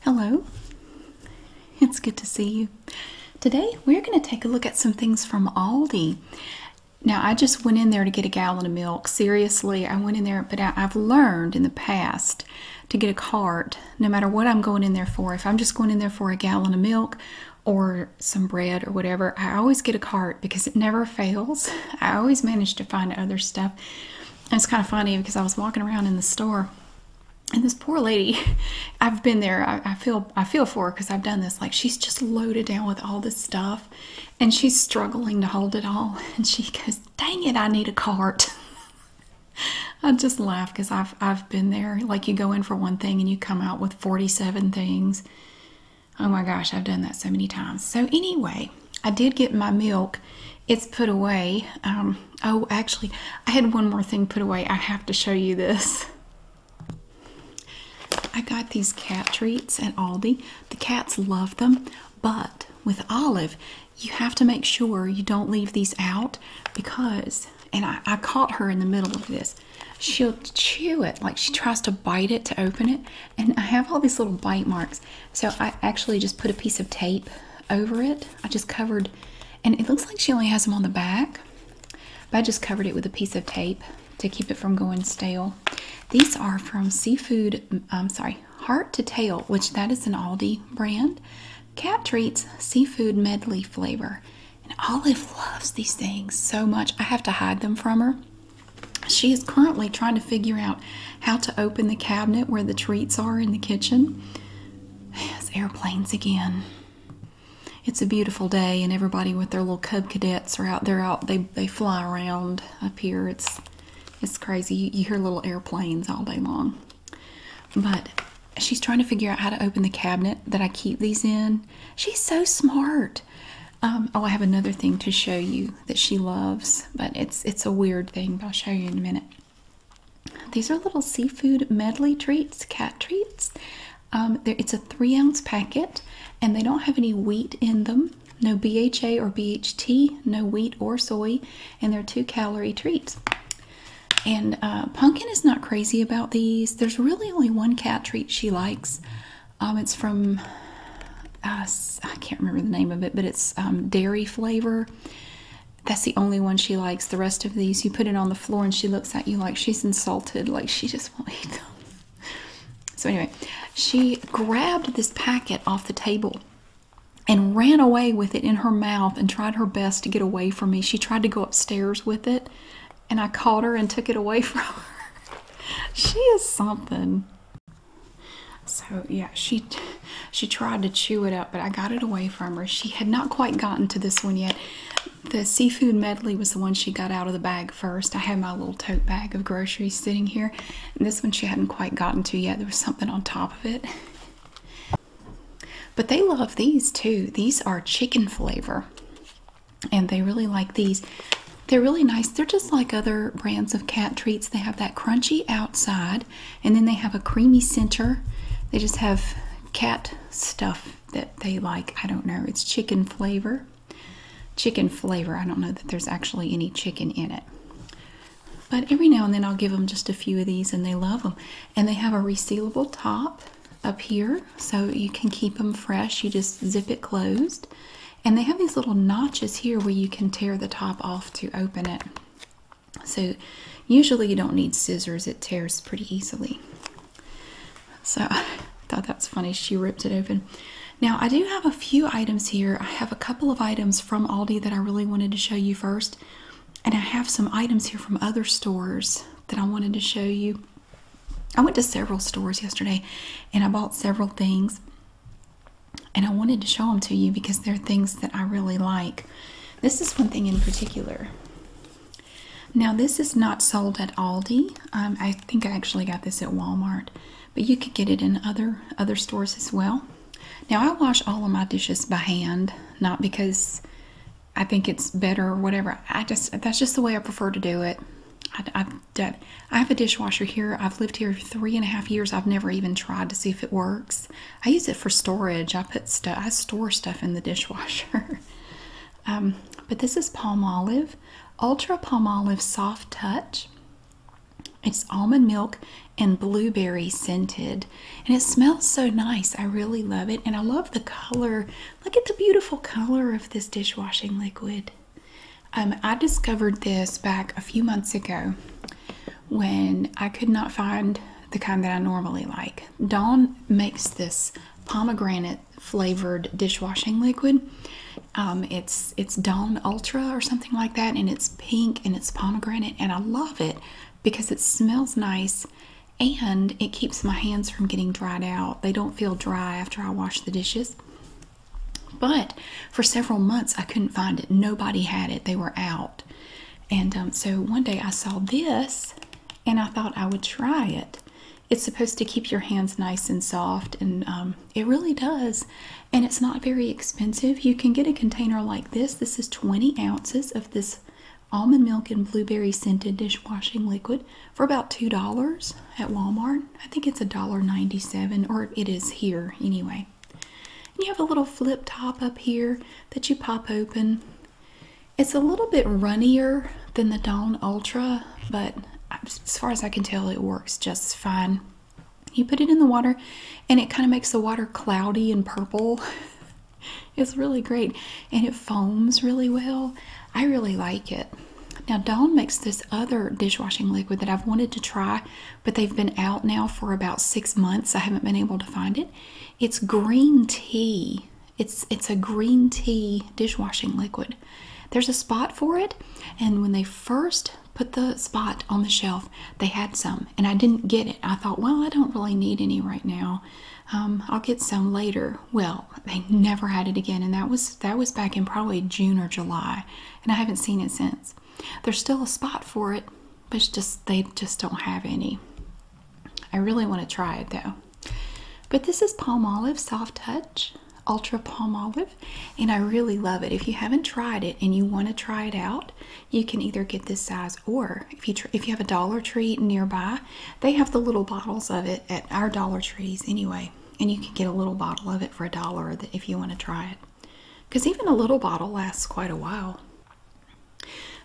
Hello, it's good to see you. Today we're going to take a look at some things from Aldi. Now, I just went in there to get a gallon of milk. Seriously, I went in there, but I, have learned in the past to get a cart no matter what I'm going in there for. If I'm just going in there for a gallon of milk or some bread or whatever, I always get a cart because it never fails. I always manage to find other stuff. And it's kind of funny because I was walking around in the store and this poor lady i've been there i, feel i feel for her because i've done this like she's just loaded down with all this stuff and she's struggling to hold it all and she goes dang it i need a cart i just laugh because i've i've been there like you go in for one thing and you come out with 47 things oh my gosh i've done that so many times so anyway i did get my milk it's put away. Um, oh, actually, I had one more thing put away. I have to show you this. I got these cat treats at Aldi. The cats love them, but with Olive, you have to make sure you don't leave these out because, and I, I caught her in the middle of this. She'll chew it, like she tries to bite it to open it, and I have all these little bite marks. So I actually just put a piece of tape over it. I just covered, and it looks like she only has them on the back, but I just covered it with a piece of tape to keep it from going stale. These are from Seafood, I'm um, sorry, Heart to Tail, which that is an Aldi brand. Cat Treats Seafood Medley Flavor. And Olive loves these things so much. I have to hide them from her. She is currently trying to figure out how to open the cabinet where the treats are in the kitchen. It's airplanes again. It's a beautiful day, and everybody with their little cub cadets are out. there. out. They they fly around up here. It's it's crazy. You, you hear little airplanes all day long. But she's trying to figure out how to open the cabinet that I keep these in. She's so smart. Um, oh, I have another thing to show you that she loves, but it's it's a weird thing. But I'll show you in a minute. These are little seafood medley treats, cat treats. Um, it's a three ounce packet and they don't have any wheat in them, no BHA or BHT, no wheat or soy, and they're two calorie treats. And uh, Pumpkin is not crazy about these. There's really only one cat treat she likes. Um, it's from, uh, I can't remember the name of it, but it's um, dairy flavor that's the only one she likes. The rest of these, you put it on the floor and she looks at you like she's insulted, like she just won't eat them. So, anyway, she grabbed this packet off the table and ran away with it in her mouth and tried her best to get away from me. She tried to go upstairs with it, and I caught her and took it away from her. she is something. So, yeah, she she tried to chew it up, but I got it away from her. She had not quite gotten to this one yet. The seafood medley was the one she got out of the bag first. I have my little tote bag of groceries sitting here, this one she hadn't quite gotten to yet. There was something on top of it. But they love these too. These are chicken flavor, and they really like these. They're really nice. They're just like other brands of cat treats. They have that crunchy outside and then they have a creamy center. They just have cat stuff that they like. I don't know. It's chicken flavor. Chicken flavor. I don't know that there's actually any chicken in it. But every now and then I'll give them just a few of these and they love them. And they have a resealable top up here so you can keep them fresh. You just zip it closed. And they have these little notches here where you can tear the top off to open it. So usually you don't need scissors, it tears pretty easily. So I thought that's funny. She ripped it open. Now I do have a few items here. I have a couple of items from Aldi that I really wanted to show you first. And I have some items here from other stores that I wanted to show you. I went to several stores yesterday and I bought several things. And I wanted to show them to you because they're things that I really like. This is one thing in particular. Now, this is not sold at Aldi. Um, I think I actually got this at Walmart, but you could get it in other other stores as well. Now, I wash all of my dishes by hand, not because I think it's better or whatever. I just that's just the way I prefer to do it. I've done, I have a dishwasher here. I've lived here three and a half years. I've never even tried to see if it works. I use it for storage. I put I store stuff in the dishwasher. Um, but this is palm olive, ultra palm olive soft touch. It's almond milk and blueberry scented, and it smells so nice. I really love it, and I love the color. Look at the beautiful color of this dishwashing liquid. Um, I discovered this back a few months ago when I could not find the kind that I normally like. Dawn makes this pomegranate flavored dishwashing liquid. Um, it's it's Dawn Ultra or something like that, and it's pink and it's pomegranate, and I love it because it smells nice and it keeps my hands from getting dried out. They don't feel dry after I wash the dishes. But for several months, I couldn't find it. Nobody had it. They were out. And um, so one day I saw this and I thought I would try it. It's supposed to keep your hands nice and soft, and um, it really does. And it's not very expensive. You can get a container like this. This is 20 ounces of this almond milk and blueberry scented dishwashing liquid for about $2 at Walmart. I think it's $1.97, or it is here anyway. And you have a little flip top up here that you pop open. It's a little bit runnier than the Dawn Ultra, but as far as I can tell, it works just fine. You put it in the water and it kind of makes the water cloudy and purple. it's really great and it foams really well. I really like it. Now, Dawn makes this other dishwashing liquid that I've wanted to try, but they've been out now for about six months. I haven't been able to find it. It's green tea. It's it's a green tea dishwashing liquid. There's a spot for it, and when they first put the spot on the shelf, they had some, and I didn't get it. I thought, well, I don't really need any right now. Um, I'll get some later. Well, they never had it again, and that was that was back in probably June or July, and I haven't seen it since. There's still a spot for it but just they just don't have any. I really want to try it though. But this is palm olive soft touch, ultra palm olive, and I really love it. If you haven't tried it and you want to try it out, you can either get this size or if you if you have a Dollar Tree nearby, they have the little bottles of it at our Dollar Trees anyway, and you can get a little bottle of it for a dollar if you want to try it. Because even a little bottle lasts quite a while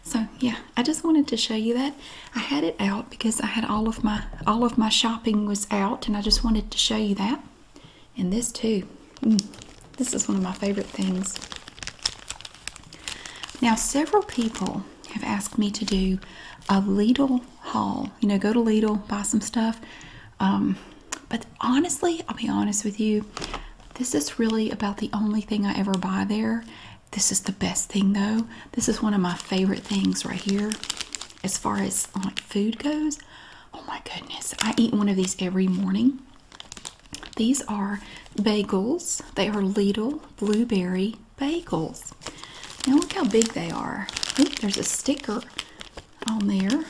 so yeah i just wanted to show you that i had it out because i had all of my all of my shopping was out and i just wanted to show you that and this too mm. this is one of my favorite things now several people have asked me to do a lidl haul you know go to lidl buy some stuff um, but honestly i'll be honest with you this is really about the only thing I ever buy there. This is the best thing though. This is one of my favorite things right here as far as like food goes. Oh my goodness. I eat one of these every morning. These are bagels. They are Lidl blueberry bagels. Now look how big they are. there's a sticker on there.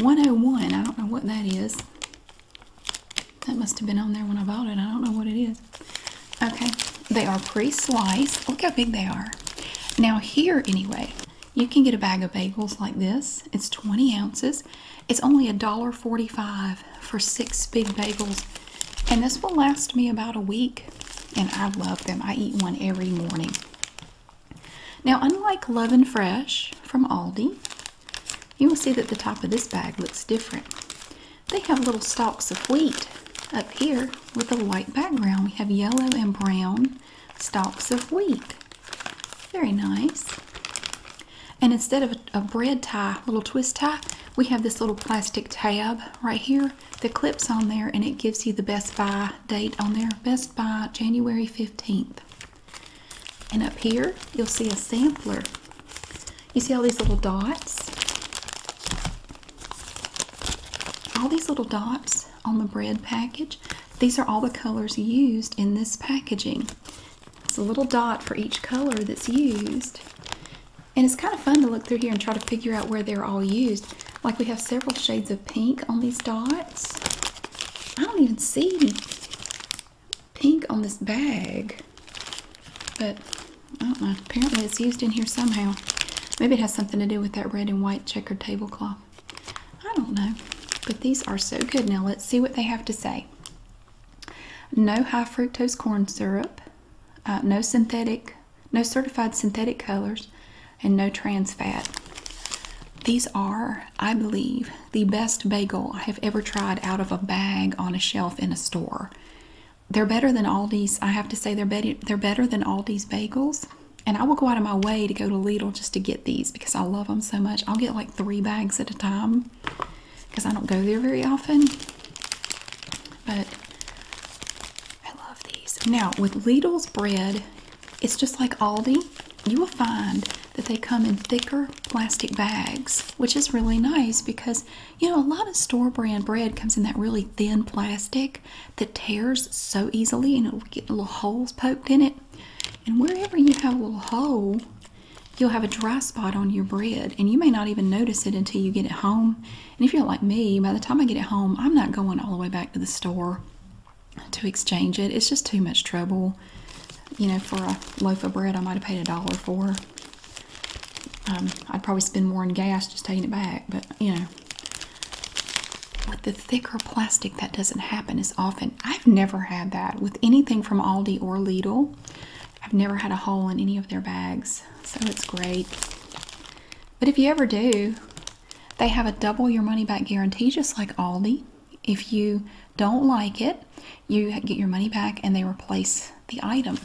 101. I don't know what that is. That must have been on there when I bought it. I don't know what it is. Okay, they are pre-sliced. Look how big they are. Now here, anyway, you can get a bag of bagels like this. It's 20 ounces. It's only a dollar 45 for six big bagels. And this will last me about a week. And I love them. I eat one every morning. Now, unlike Love and Fresh from Aldi, you will see that the top of this bag looks different. They have little stalks of wheat up here with a white background. We have yellow and brown stalks of wheat. Very nice. And instead of a, bread tie, little twist tie, we have this little plastic tab right here The clips on there and it gives you the Best Buy date on there. Best Buy January 15th. And up here, you'll see a sampler. You see all these little dots? All these little dots on the bread package, these are all the colors used in this packaging. It's a little dot for each color that's used. And it's kind of fun to look through here and try to figure out where they're all used. Like we have several shades of pink on these dots. I don't even see pink on this bag, but I don't know. Apparently, it's used in here somehow. Maybe it has something to do with that red and white checkered tablecloth. I don't know. But these are so good. Now, let's see what they have to say. No high fructose corn syrup, uh, no synthetic, no certified synthetic colors, and no trans fat. These are, I believe, the best bagel I have ever tried out of a bag on a shelf in a store. They're better than Aldi's. I have to say they're better. They're better than Aldi's bagels. And I will go out of my way to go to Lidl just to get these because I love them so much. I'll get like three bags at a time because I don't go there very often. But I love these. Now, with Lidl's bread, it's just like Aldi. You will find that they come in thicker plastic bags, which is really nice because you know a lot of store brand bread comes in that really thin plastic that tears so easily and it'll get little holes poked in it. And wherever you have a little hole, you'll have a dry spot on your bread and you may not even notice it until you get it home. And if you're like me, by the time I get it home, I'm not going all the way back to the store to exchange it. It's just too much trouble. You know, for a loaf of bread, I might have paid a dollar for. Um, I'd probably spend more on gas just taking it back, but you know. With the thicker plastic, that doesn't happen as often. I've never had that with anything from Aldi or Lidl. I've never had a hole in any of their bags, so it's great. But if you ever do, they have a double your money back guarantee, just like Aldi. If you don't like it, you get your money back and they replace the item,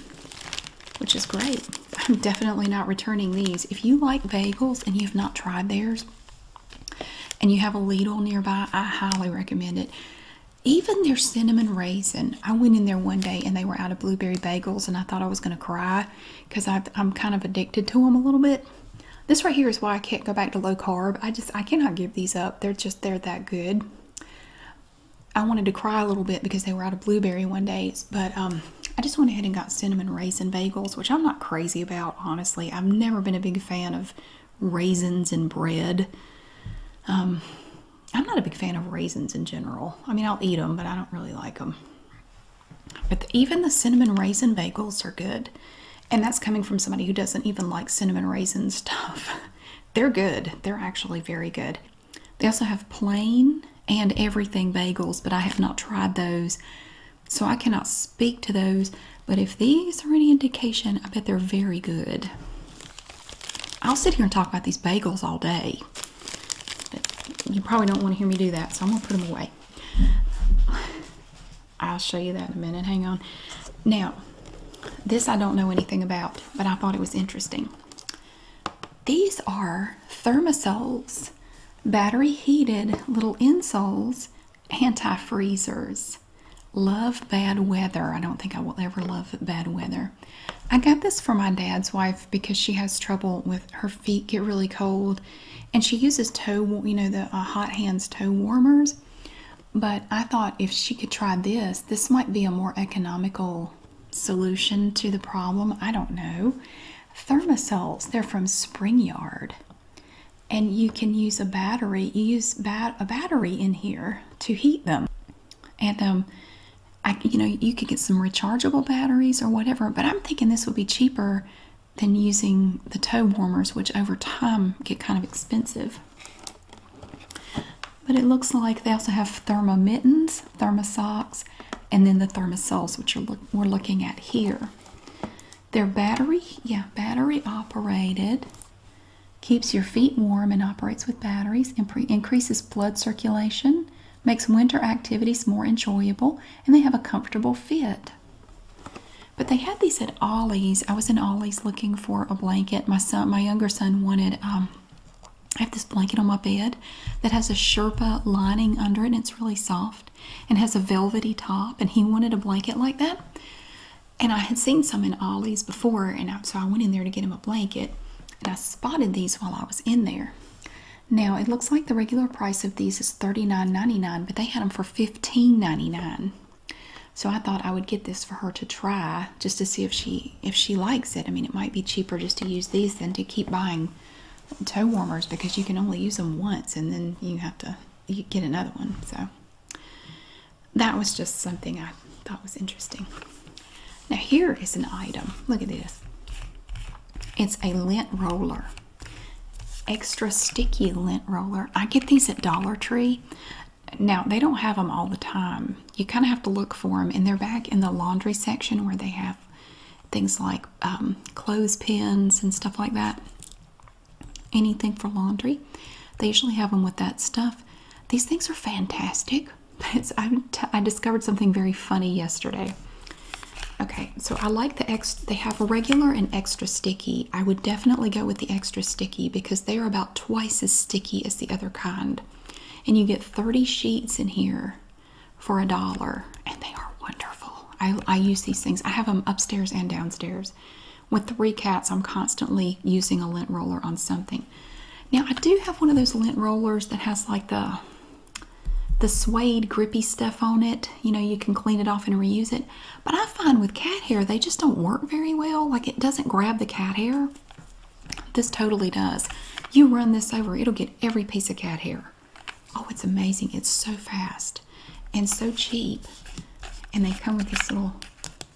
which is great. I'm definitely not returning these. If you like bagels and you've not tried theirs and you have a Lidl nearby, I highly recommend it. Even their cinnamon raisin. I went in there one day and they were out of blueberry bagels and I thought I was going to cry because I'm kind of addicted to them a little bit. This right here is why I can't go back to low carb. I just, I cannot give these up. They're just, they're that good. I wanted to cry a little bit because they were out of blueberry one days, but um, I just went ahead and got cinnamon raisin bagels, which I'm not crazy about, honestly. I've never been a big fan of raisins and bread. Um, I'm not a big fan of raisins in general. I mean, I'll eat them, but I don't really like them. But even the cinnamon raisin bagels are good. And that's coming from somebody who doesn't even like cinnamon raisin stuff. They're good. They're actually very good. They also have plain and everything bagels, but I have not tried those, so I cannot speak to those. But if these are any indication, I bet they're very good. I'll sit here and talk about these bagels all day. you probably don't want to hear me do that, so I'm going to put them away. I'll show you that in a minute. Hang on. Now, this I don't know anything about, but I thought it was interesting. These are thermosols, battery heated little insoles, antifreezers. Love bad weather. I don't think I will ever love bad weather. I got this for my dad's wife because she has trouble with her feet get really cold and she uses toe, you know, the uh, hot hands toe warmers. But I thought if she could try this, this might be a more economical solution to the problem. I don't know. Thermosols, they're from Spring yard And you can use a battery, use a battery in here to heat them. And um I you know, you could get some rechargeable batteries or whatever, but I'm thinking this would be cheaper than using the toe warmers, which over time get kind of expensive. But it looks like they also have thermo mittens, thermo socks, and then the thermosoles, which we're looking at here. They're battery, yeah, battery operated. Keeps your feet warm and operates with batteries. increases blood circulation. Makes winter activities more enjoyable. And they have a comfortable fit. But they had these at Ollie's. I was in Ollie's looking for a blanket. My son, my younger son wanted um, I have this blanket on my bed that has a Sherpa lining under it and it's really soft and has a velvety top. And he wanted a blanket like that. And I had seen some in Ollie's before, and so I went in there to get him a blanket and I spotted these while I was in there. Now it looks like the regular price of these is $39.99, but they had them for $15.99 so I thought I would get this for her to try just to see if she if she likes it. I mean, it might be cheaper just to use these than to keep buying toe warmers because you can only use them once and then you have to get another one. So that was just something I thought was interesting. Now here is an item. Look at this. It's a lint roller. Extra sticky lint roller. I get these at Dollar Tree. Now, they don't have them all the time. You kind of have to look for them, and they're back in the laundry section where they have things like um, clothes pins and stuff like that. Anything for laundry. They usually have them with that stuff. These things are fantastic. I, discovered something very funny yesterday. Okay, so I like the extra, they have regular and extra sticky. I would definitely go with the extra sticky because they are about twice as sticky as the other kind and you get 30 sheets in here for a dollar and they are wonderful I, use these things i have them upstairs and downstairs with three cats i'm constantly using a lint roller on something now i do have one of those lint rollers that has like the the suede grippy stuff on it you know you can clean it off and reuse it but i find with cat hair they just don't work very well like it doesn't grab the cat hair this totally does. You run this over, it'll get every piece of cat hair. Oh, it's amazing. It's so fast and so cheap. And they come with this little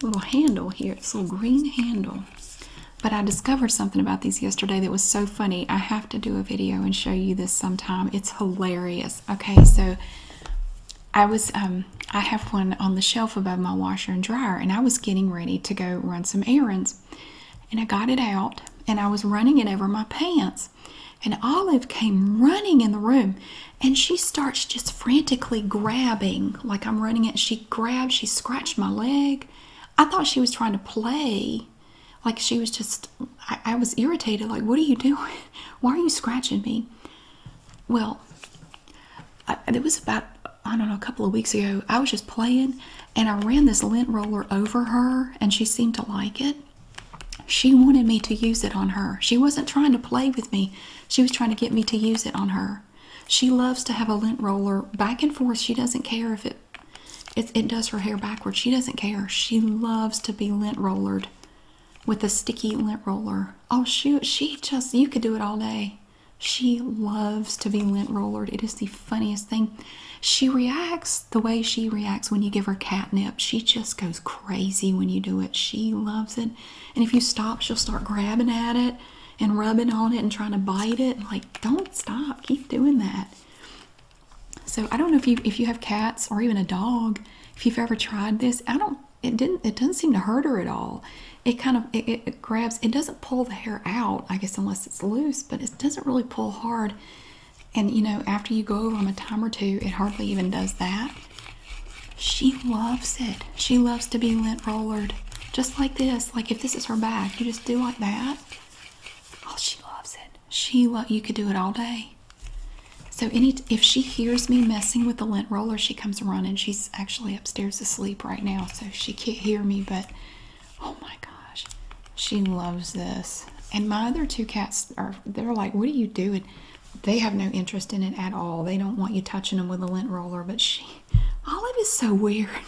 little handle here, this little green handle. But I discovered something about these yesterday that was so funny. I have to do a video and show you this sometime. It's hilarious. Okay, so I was um, I have one on the shelf above my washer and dryer, and I was getting ready to go run some errands. And I got it out and I was running it over my pants. And Olive came running in the room and she starts just frantically grabbing, like I'm running it. She grabbed, she scratched my leg. I thought she was trying to play. Like she was just, I, was irritated. Like, what are you doing? Why are you scratching me? Well, it was about I don't know, a couple of weeks ago, I was just playing and I ran this lint roller over her and she seemed to like it. She wanted me to use it on her. She wasn't trying to play with me, she was trying to get me to use it on her. She loves to have a lint roller back and forth. She doesn't care if it it, does her hair backwards. She doesn't care. She loves to be lint rollered with a sticky lint roller. Oh shoot, she just you could do it all day. She loves to be lint rollered. It is the funniest thing. She reacts the way she reacts when you give her catnip. She just goes crazy when you do it. She loves it. And if you stop, she'll start grabbing at it and rubbing on it and trying to bite it. Like, don't stop. Keep doing that. So I don't know if you if you have cats or even a dog, if you've ever tried this. I don't it didn't it doesn't seem to hurt her at all it kind of it, grabs it doesn't pull the hair out i guess unless it's loose but it doesn't really pull hard and you know after you go over them a time or two it hardly even does that she loves it she loves to be lint rolled, just like this like if this is her bag, you just do like that oh she loves it she lo you could do it all day so any if she hears me messing with the lint roller she comes running she's actually upstairs asleep right now so she can't hear me. But oh my gosh, she loves this. And my other two cats are they're like, What are you doing? They have no interest in it at all. They don't want you touching them with a lint roller. But she, Olive is so weird.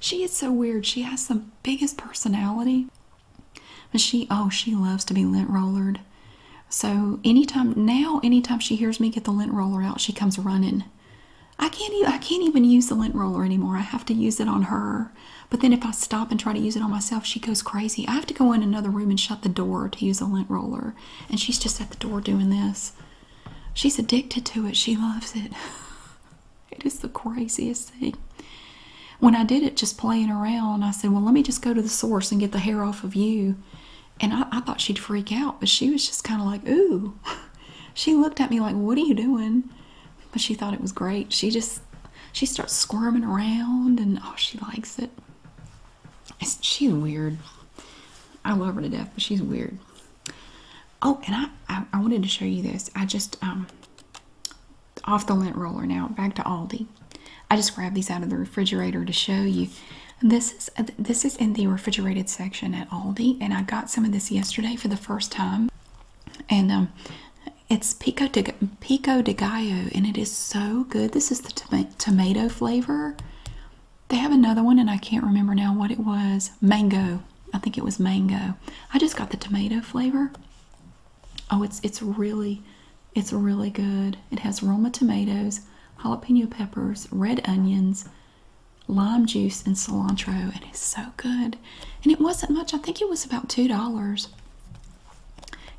She is so weird. She has the biggest personality. But she, oh, she loves to be lint rollered. So anytime now, anytime she hears me get the lint roller out, she comes running. I can't even I can't even use the lint roller anymore. I have to use it on her. But then if I stop and try to use it on myself, she goes crazy. I have to go in another room and shut the door to use a lint roller. And she's just at the door doing this. She's addicted to it. She loves it. It is the craziest thing. When I did it just playing around, I said, Well, let me just go to the source and get the hair off of you. And I, I thought she'd freak out, but she was just kind of like, Ooh. She looked at me like, What are you doing? But she thought it was great. She just, she starts squirming around and oh, she likes it. she's weird. I love her to death, but she's weird. Oh, and I, I, I wanted to show you this. I just, um, off the lint roller now, back to Aldi. I just grabbed these out of the refrigerator to show you. This is uh, this is in the refrigerated section at Aldi, and I got some of this yesterday for the first time. And um, it's pico de pico de gallo, and it is so good. This is the tomato flavor. They have another one, and I can't remember now what it was. Mango, I think it was mango. I just got the tomato flavor. Oh, it's it's really, it's really good. It has Roma tomatoes, jalapeno peppers, red onions, lime juice and cilantro, and it's so good. And it wasn't much, I think it was about $2.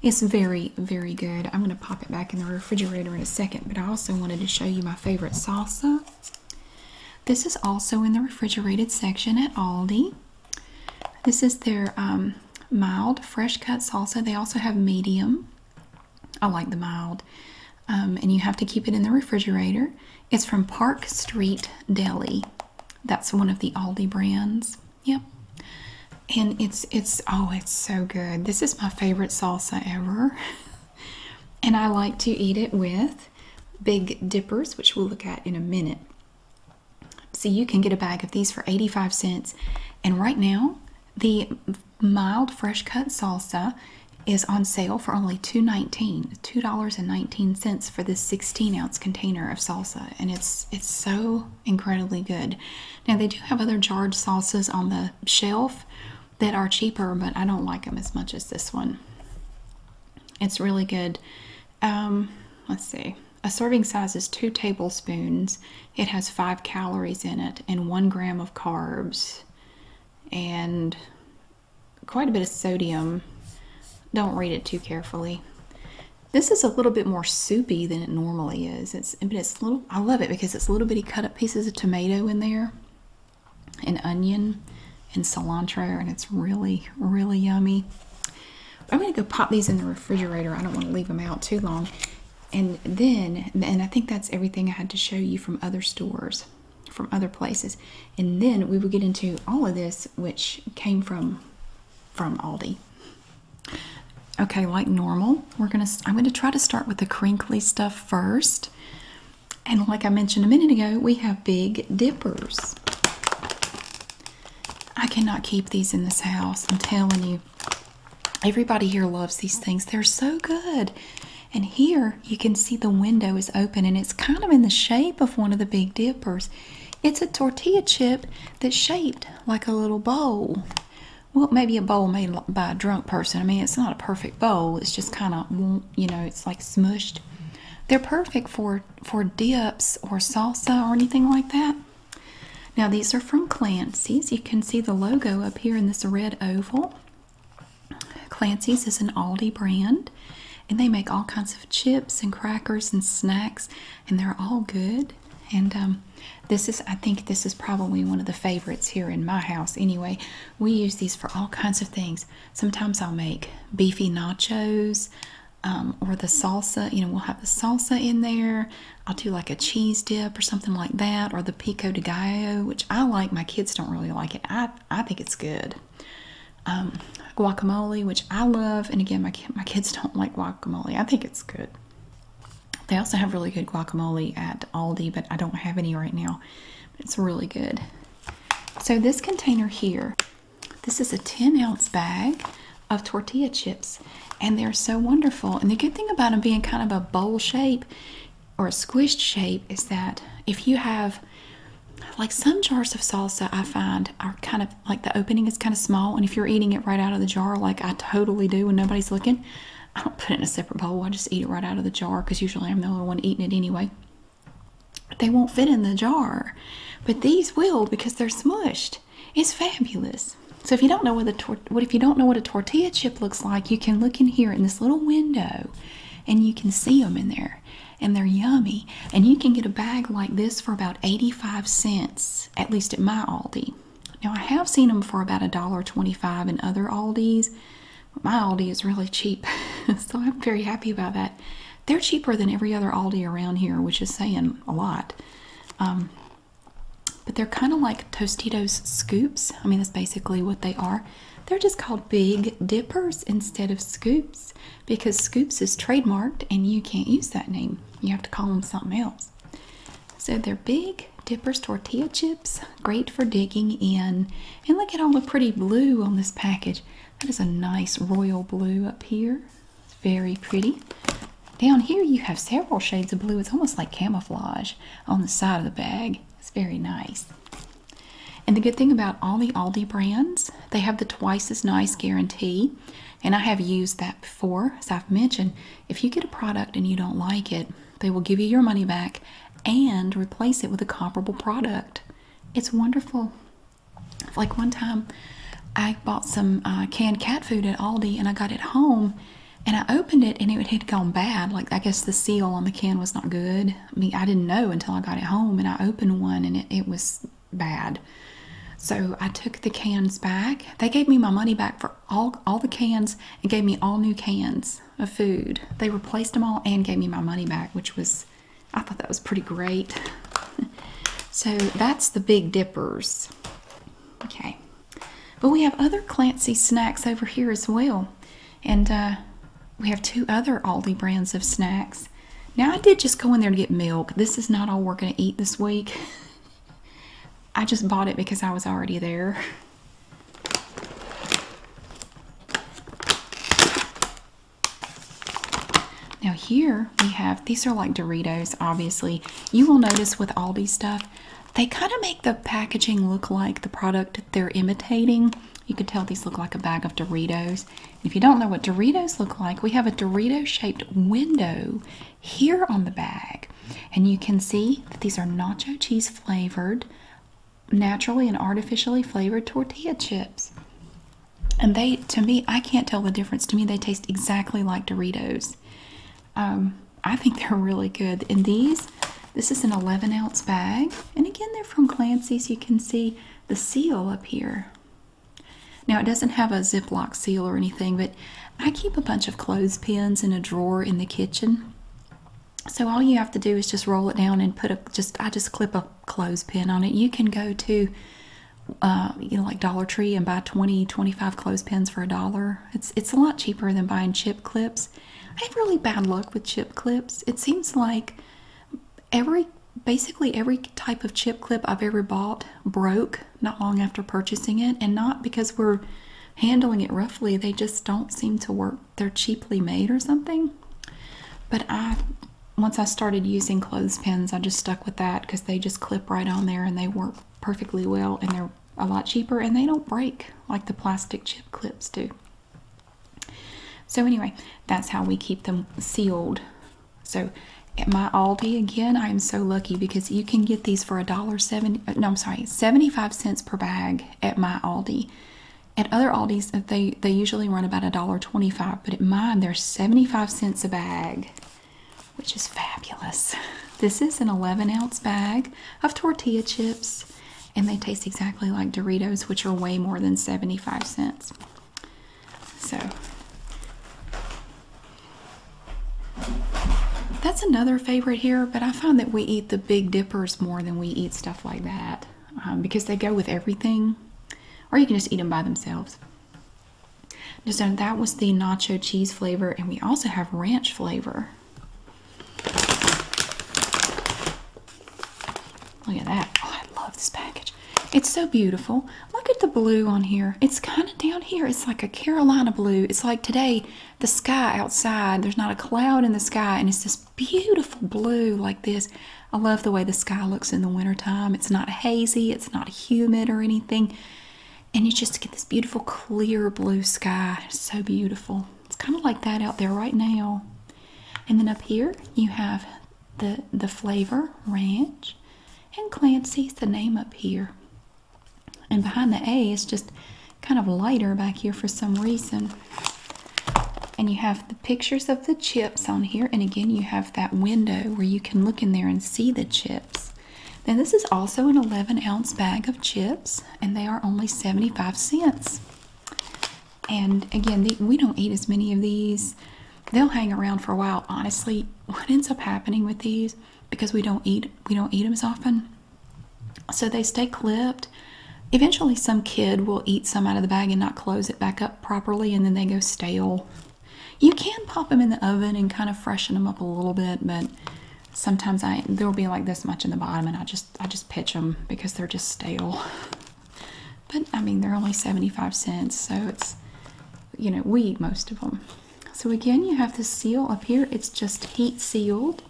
It's very, very good. I'm going to pop it back in the refrigerator in a second, but I also wanted to show you my favorite salsa. This is also in the refrigerated section at Aldi. This is their um, mild fresh cut salsa. They also have medium. I like the mild. Um, and you have to keep it in the refrigerator. It's from Park Street Deli. That's one of the Aldi brands. Yep. And it's it's oh it's so good. This is my favorite salsa ever. and I like to eat it with big dippers, which we'll look at in a minute. So you can get a bag of these for 85 cents. And right now, the mild fresh cut salsa is on sale for only $2.19 for this 16 ounce container of salsa and it's it's so incredibly good now they do have other jarred sauces on the shelf that are cheaper but i don't like them as much as this one it's really good um, let's see a serving size is two tablespoons it has five calories in it and one gram of carbs and quite a bit of sodium. Don't read it too carefully. This is a little bit more soupy than it normally is. It's but it's little I love it because it's little bitty cut up pieces of tomato in there and onion and cilantro and it's really really yummy. I'm going to go pop these in the refrigerator. I don't want to leave them out too long. And then and I think that's everything I had to show you from other stores from other places. And then we will get into all of this, which came from from Aldi. Okay, like normal, we're gonna. I'm gonna try to start with the crinkly stuff first. And like I mentioned a minute ago, we have Big Dippers. I cannot keep these in this house. I'm telling you, everybody here loves these things. They're so good. And here you can see the window is open and it's kind of in the shape of one of the Big Dippers. It's a tortilla chip that's shaped like a little bowl. Well, maybe a bowl made by a drunk person. I mean, it's not a perfect bowl. It's just kind of, you know, it's like smushed. They're perfect for, for dips or salsa or anything like that. Now, these are from Clancy's. You can see the logo up here in this red oval. Clancy's is an Aldi brand, and they make all kinds of chips and crackers and snacks, and they're all good. And um, this is, I think, this is probably one of the favorites here in my house. Anyway, we use these for all kinds of things. Sometimes I'll make beefy nachos. Um, or the salsa, you know, we'll have the salsa in there. I'll do like a cheese dip or something like that, or the pico de gallo, which I like. My kids don't really like it. I I think it's good. Um, guacamole, which I love, and again, my my kids don't like guacamole. I think it's good. They also have really good guacamole at Aldi, but I don't have any right now. It's really good. So this container here, this is a 10 ounce bag of tortilla chips, and they're so wonderful. And the good thing about them being kind of a bowl shape or a squished shape is that if you have like some jars of salsa I find are kind of like the opening is kind of small and if you're eating it right out of the jar like I totally do when nobody's looking I don't put it in a separate bowl I just eat it right out of the jar because usually I'm the only one eating it anyway they won't fit in the jar but these will because they're smushed it's fabulous so if you don't know what, the what if you don't know what a tortilla chip looks like you can look in here in this little window and you can see them in there and they're yummy and you can get a bag like this for about 85 cents at least at my aldi now i have seen them for about a dollar 25 in other aldis but my aldi is really cheap so i'm very happy about that they're cheaper than every other aldi around here which is saying a lot um, but they're kind of like tostitos scoops i mean that's basically what they are they're just called Big Dippers instead of Scoops because Scoops is trademarked and you can't use that name. You have to call them something else. So they're Big Dippers tortilla chips, great for digging in. And look at all the pretty blue on this package. That is a nice royal blue up here. It's very pretty. Down here you have several shades of blue. It's almost like camouflage on the side of the bag. It's very nice. And the good thing about all the Aldi brands, they have the twice as nice guarantee. And I have used that before, as I've mentioned. If you get a product and you don't like it, they will give you your money back and replace it with a comparable product. It's wonderful. Like one time, I bought some uh, canned cat food at Aldi and I got it home and I opened it and it had gone bad. Like, I guess the seal on the can was not good. I mean, I didn't know until I got it home and I opened one and it, it was bad. So I took the cans back. They gave me my money back for all, all the cans and gave me all new cans of food. They replaced them all and gave me my money back, which was, I thought that was pretty great. so that's the Big Dippers. Okay. But we have other Clancy snacks over here as well. And uh, we have two other Aldi brands of snacks. Now, I did just go in there to get milk. This is not all we're going to eat this week. I just bought it because I was already there. Now here we have, these are like Doritos, obviously. You will notice with Aldi stuff, they kind of make the packaging look like the product they're imitating. You can tell these look like a bag of Doritos. if you don't know what Doritos look like, we have a Dorito shaped window here on the bag. And you can see that these are nacho cheese flavored, naturally and artificially flavored tortilla chips. And they, to me, I can't tell the difference. To me, they taste exactly like Doritos. Um, I think they're really good. in these this is an 11 ounce bag, and again, they're from Clancy's. You can see the seal up here. Now, it doesn't have a Ziploc seal or anything, but I keep a bunch of clothespins in a drawer in the kitchen. So all you have to do is just roll it down and put a just I just clip a clothespin on it. You can go to uh, you know like Dollar Tree and buy 20, 25 clothespins for a dollar. It's it's a lot cheaper than buying chip clips. I have really bad luck with chip clips. It seems like every basically every type of chip clip I've ever bought broke not long after purchasing it, and not because we're handling it roughly, they just don't seem to work. They're cheaply made or something. But I once I started using clothespins, I just stuck with that because they just clip right on there and they work perfectly well and they're a lot cheaper and they don't break like the plastic chip clips do. So anyway, that's how we keep them sealed. So at my Aldi again, I am so lucky because you can get these for a dollar seventy. Uh, no, I'm sorry, seventy-five cents per bag at my Aldi. At other Aldis, uh, they they usually run about a dollar twenty-five, but at mine they're seventy-five cents a bag, which is fabulous. This is an eleven ounce bag of tortilla chips and they taste exactly like Doritos, which are way more than 75 cents. So that's another favorite here, but I find that we eat the Big Dippers more than we eat stuff like that um, because they go with everything, or you can just eat them by themselves. So that was the nacho cheese flavor, and we also have ranch flavor. Look at that. Oh, I love this package. It's so beautiful. Look at the blue on here. It's kind of down here. It's like a Carolina blue. It's like today, the sky outside, there's not a cloud in the sky, and it's this beautiful blue like this. I love the way the sky looks in the wintertime. It's not hazy, it's not humid or anything. And you just get this beautiful, clear blue sky. It's so beautiful. It's kind of like that out there right now. And then up here you have the the flavor ranch and Clancy's the name up here. And behind the A is just kind of lighter back here for some reason. And you have the pictures of the chips on here. And again, you have that window where you can look in there and see the chips. Then this is also an 11 ounce bag of chips, and they are only 75 cents. And again, we don't eat as many of these. They'll hang around for a while. Honestly, what ends up happening with these because we don't eat we don't eat them as often, so they stay clipped. Eventually, some kid will eat some out of the bag and not close it back up properly, and then they go stale. You can pop them in the oven and kind of freshen them up a little bit, but sometimes I there'll be like this much in the bottom, and I just I just pitch them because they're just stale. But I mean, they're only 75 cents, so it's, you know, we eat most of them. So again, you have this seal up here. It's just heat sealed.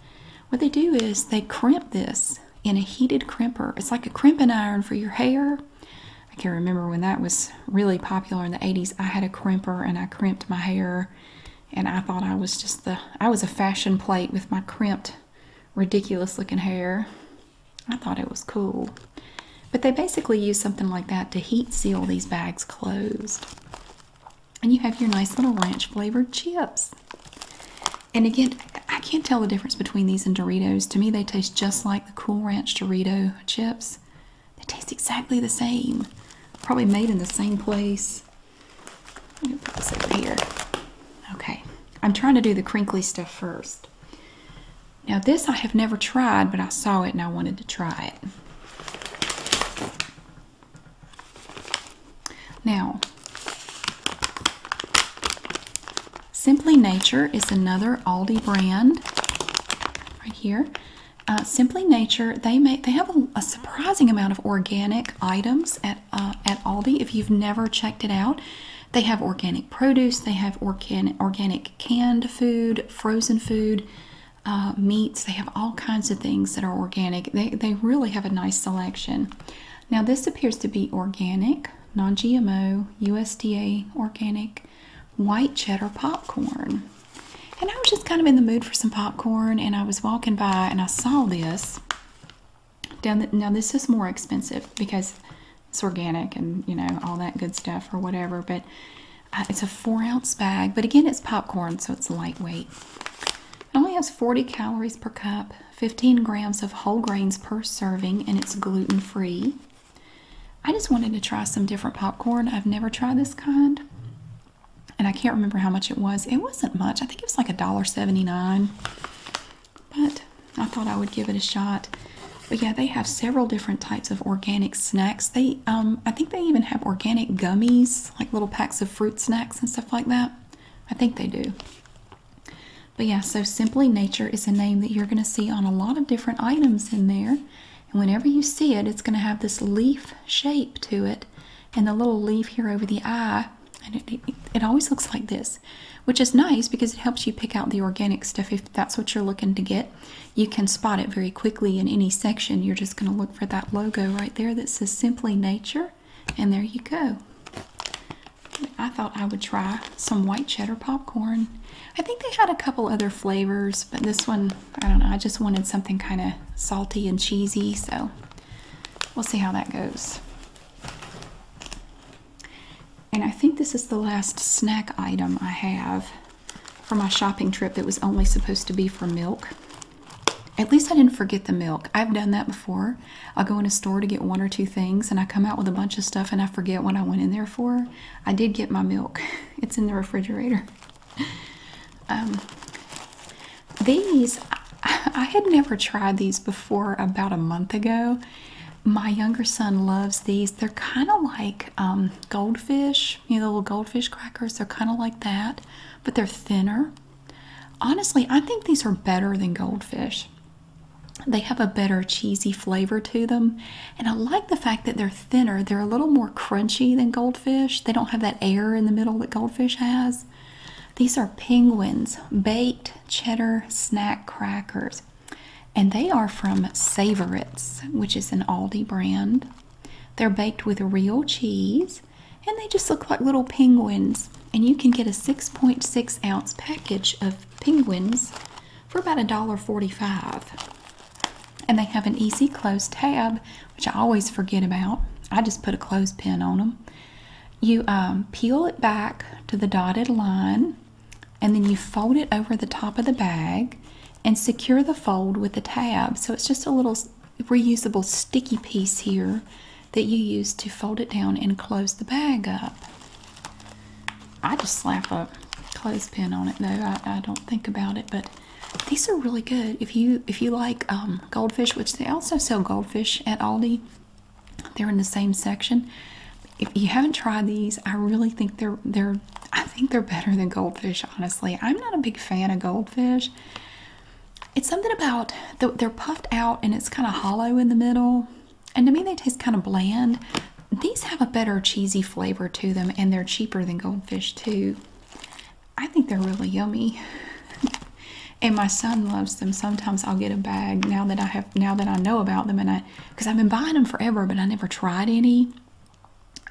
What they do is they crimp this in a heated crimper. It's like a crimping iron for your hair. I can not remember when that was really popular in the 80s. I had a crimper and I crimped my hair and I thought I was just the, I was a fashion plate with my crimped ridiculous looking hair. I thought it was cool. But they basically use something like that to heat seal these bags closed. And you have your nice little ranch flavored chips. And again, I can't tell the difference between these and Doritos. To me, they taste just like the Cool Ranch Dorito chips. They taste exactly the same. Probably made in the same place. Let me put this over here. Okay, I'm trying to do the crinkly stuff first. Now this I have never tried, but I saw it and I wanted to try it. Now, Simply Nature is another Aldi brand right here. Uh, Simply Nature, they make they have a surprising amount of organic items at uh, at Aldi. If you've never checked it out, they have organic produce, they have organic organic canned food, frozen food, uh, meats. They have all kinds of things that are organic. They they really have a nice selection. Now this appears to be organic, non-GMO, USDA organic, white cheddar popcorn. And I was just kind of in the mood for some popcorn, and I was walking by and I saw this now this is more expensive because it's organic and you know all that good stuff or whatever, but uh, it's a four ounce bag. But again, it's popcorn, so it's lightweight. It only has 40 calories per cup, 15 grams of whole grains per serving, and it's gluten free. I just wanted to try some different popcorn. I've never tried this kind. And I can't remember how much it was. It wasn't much. I think it was like a dollar 79. But I thought I would give it a shot. But yeah, they have several different types of organic snacks. They, um, I think they even have organic gummies, like little packs of fruit snacks and stuff like that. I think they do. But yeah, so Simply Nature is a name that you're going to see on a lot of different items in there. And whenever you see it, it's going to have this leaf shape to it. And the little leaf here over the eye and it always looks like this which is nice because it helps you pick out the organic stuff if that's what you're looking to get you can spot it very quickly in any section you're just going to look for that logo right there that says simply nature and there you go i thought i would try some white cheddar popcorn i think they had a couple other flavors but this one i don't know i just wanted something kind of salty and cheesy so we'll see how that goes and I think this is the last snack item I have for my shopping trip. It was only supposed to be for milk. At least I didn't forget the milk. I've done that before. I'll go in a store to get one or two things and I come out with a bunch of stuff and I forget what I went in there for. I did get my milk, it's in the refrigerator. Um, these, I, I had never tried these before about a month ago my younger son loves these. They're kind of like um, goldfish, you know, the little goldfish crackers. They're kind of like that, but they're thinner. Honestly, I think these are better than goldfish. They have a better cheesy flavor to them. And I like the fact that they're thinner. They're a little more crunchy than goldfish. They don't have that air in the middle that goldfish has. These are penguins, baked cheddar snack crackers and they are from Savorits, which is an Aldi brand. They're baked with real cheese, and they just look like little penguins. And you can get a 6.6 ounce package of penguins for about $1.45. And they have an easy close tab, which I always forget about. I just put a clothespin on them. You um, peel it back to the dotted line, and then you fold it over the top of the bag and secure the fold with a tab. So it's just a little reusable sticky piece here that you use to fold it down and close the bag up. I just slap a clothespin on it though. I, don't think about it, but these are really good. If you if you like um, goldfish, which they also sell goldfish at Aldi, they're in the same section. If you haven't tried these, I really think they're they're I think they're better than goldfish, honestly. I'm not a big fan of goldfish. It's something about the, they're puffed out and it's kind of hollow in the middle. And to me, they taste kind of bland. These have a better cheesy flavor to them and they're cheaper than goldfish, too. I think they're really yummy. and my son loves them. Sometimes I'll get a bag now that I have now that I know about them and I because I've been buying them forever, but I never tried any.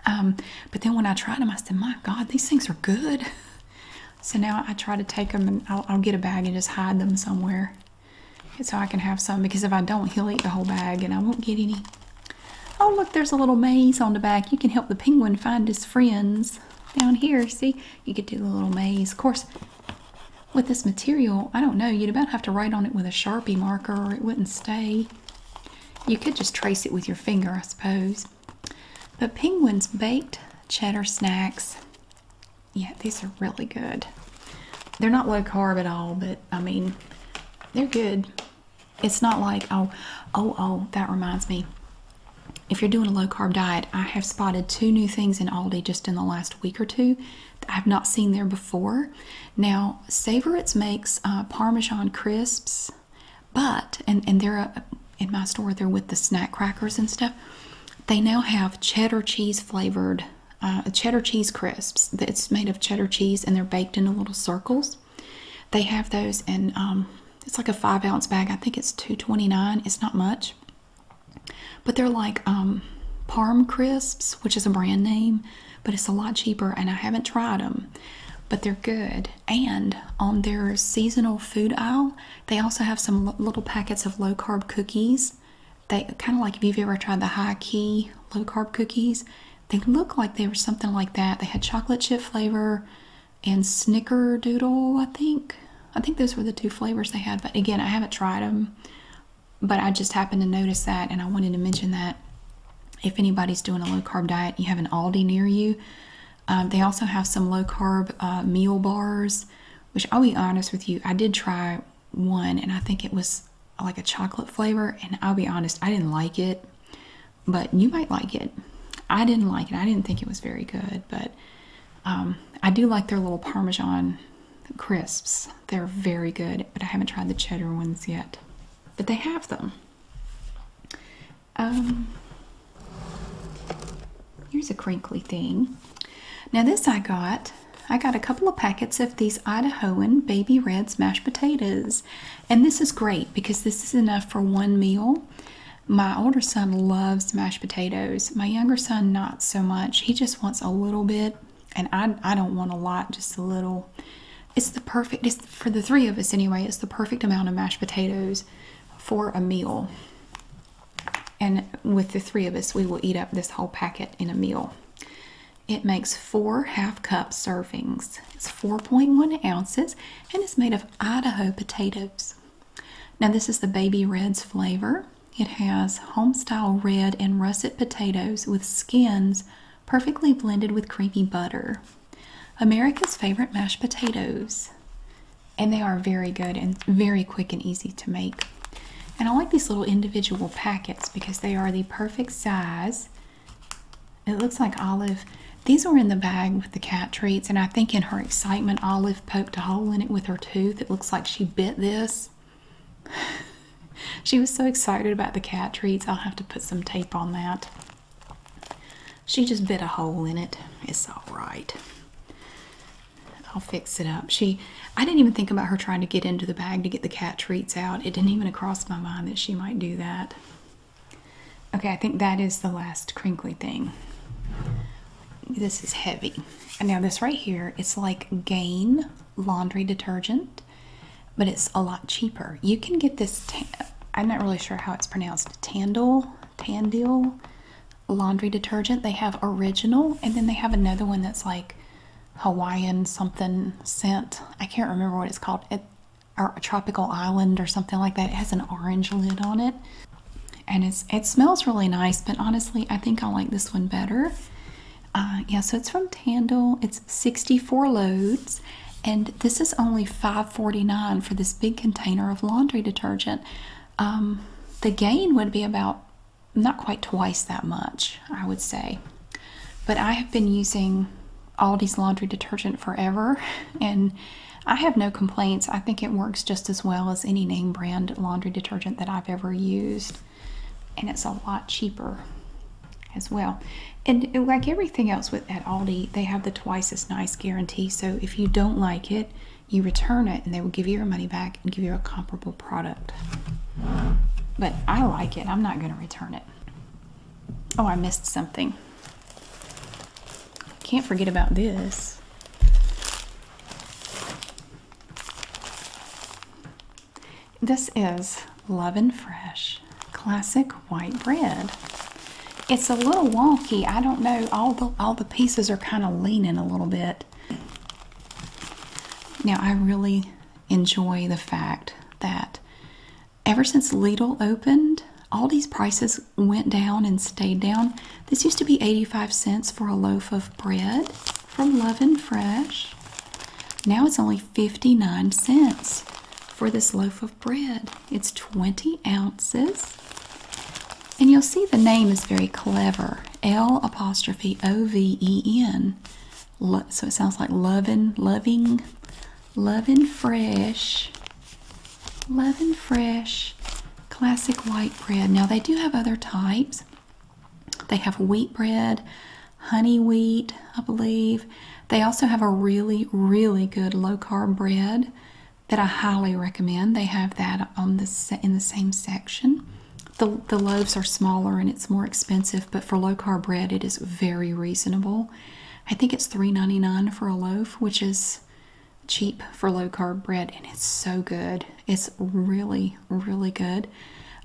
Um, but then when I tried them, I said, "My God, these things are good." So now I try to take them and I'll, I'll get a bag and just hide them somewhere, so I can have some. Because if I don't, he'll eat the whole bag, and I won't get any. Oh, look, there's a little maze on the back. You can help the penguin find his friends down here. See, you could do the little maze. Of course, with this material, I don't know, you'd about have to write on it with a Sharpie marker or it wouldn't stay. You could just trace it with your finger, I suppose. But Penguin's baked cheddar snacks, yeah, these are really good. They're not low carb at all, but I mean, they're good. It's not like, oh, oh, oh, that reminds me. If you're doing a low carb diet, I have spotted two new things in Aldi just in the last week or two I've not seen there before. Now, Savoritz makes uh, Parmesan crisps, but and and they're uh, in my store. They're with the snack crackers and stuff. They now have cheddar cheese flavored uh, cheddar cheese crisps. That's made of cheddar cheese and they're baked in little circles. They have those and um, it's like a five ounce bag. I think it's two twenty nine. It's not much. But they're like um, Parm Crisps, which is a brand name, but it's a lot cheaper, and I haven't tried them. But they're good. And on their seasonal food aisle, they also have some little packets of low carb cookies. They kind of like if you've ever tried the high key low carb cookies, they look like they were something like that. They had chocolate chip flavor and snickerdoodle, I think. I think those were the two flavors they had, but again, I haven't tried them but I just happened to notice that and I wanted to mention that if anybody's doing a low carb diet, you have an Aldi near you. Um, they also have some low carb uh, meal bars, which I'll be honest with you, I did try one and I think it was like a chocolate flavor. And I'll be honest, I didn't like it, but you might like it. I didn't like it. I didn't think it was very good, but um, I do like their little Parmesan crisps. They're very good, but I haven't tried the cheddar ones yet. But they have them. Um, here's a crinkly thing. Now this I got. I got a couple of packets of these Idahoan Baby Reds mashed potatoes. And this is great because this is enough for one meal. My older son loves mashed potatoes. My younger son, not so much. He just wants a little bit and I, I don't want a lot, just a little. It's the perfect, for the three of us anyway, it's the perfect amount of mashed potatoes for a meal. And with the three of us, we will eat up this whole packet in a meal. It makes four half cup servings. It's 4.1 ounces and it's made of Idaho potatoes. Now, this is the Baby Reds flavor. It has homestyle red and russet potatoes with skins perfectly blended with creamy butter. America's favorite mashed potatoes. And they are very good and very quick and easy to make. And I like these little individual packets because they are the perfect size. It looks like Olive. These were in the bag with the cat treats, and I think in her excitement, Olive poked a hole in it with her tooth. It looks like she bit this. she was so excited about the cat treats, I'll have to put some tape on that. She just bit a hole in it. It's alright. I'll fix it up. She I didn't even think about her trying to get into the bag to get the cat treats out. It didn't even cross my mind that she might do that. Okay, I think that is the last crinkly thing. This is heavy. And now this right here, it's like gain laundry detergent, but it's a lot cheaper. You can get this, I'm not really sure how it's pronounced, Tandil, Tandil laundry detergent. They have original, and then they have another one that's like Hawaiian something scent. I can't remember what it's called. or a tropical island or something like that. It has an orange lid on it. And it's, it smells really nice, but honestly, I think I like this one better. Uh, yeah, so it's from Tandle. It's 64 loads, and this is only 5.49 for this big container of laundry detergent. Um, the gain would be about not quite twice that much, I would say. But I have been using Aldi's laundry detergent forever, and I have no complaints. I think it works just as well as any name brand laundry detergent that I've ever used and it's a lot cheaper as well. And like everything else with at Aldi, they have the twice as nice guarantee. So if you don't like it, you return it and they will give you your money back and give you a comparable product. But I like it. I'm not going to return it. Oh, I missed something. Can't forget about this. This is Love and Fresh Classic White Bread. It's a little wonky. I don't know. All the all the pieces are kind of leaning a little bit. Now I really enjoy the fact that ever since Lidl opened, all these prices went down and stayed down. This used to be 85 cents for a loaf of bread from Love and Fresh. Now it's only 59 cents for this loaf of bread. It's 20 ounces. And you'll see the name is very clever. L apostrophe O V E N. so it sounds like loving, loving, loving fresh, loving fresh, classic white bread. Now they do have other types. They have wheat bread, honey wheat, I believe. They also have a really, really good low carb bread that I highly recommend. They have that in the same section. The, the loaves are smaller and it's more expensive, but for low carb bread, it is very reasonable. I think it's $3.99 for a loaf, which is cheap for low carb bread, and it's so good. It's really, really, good.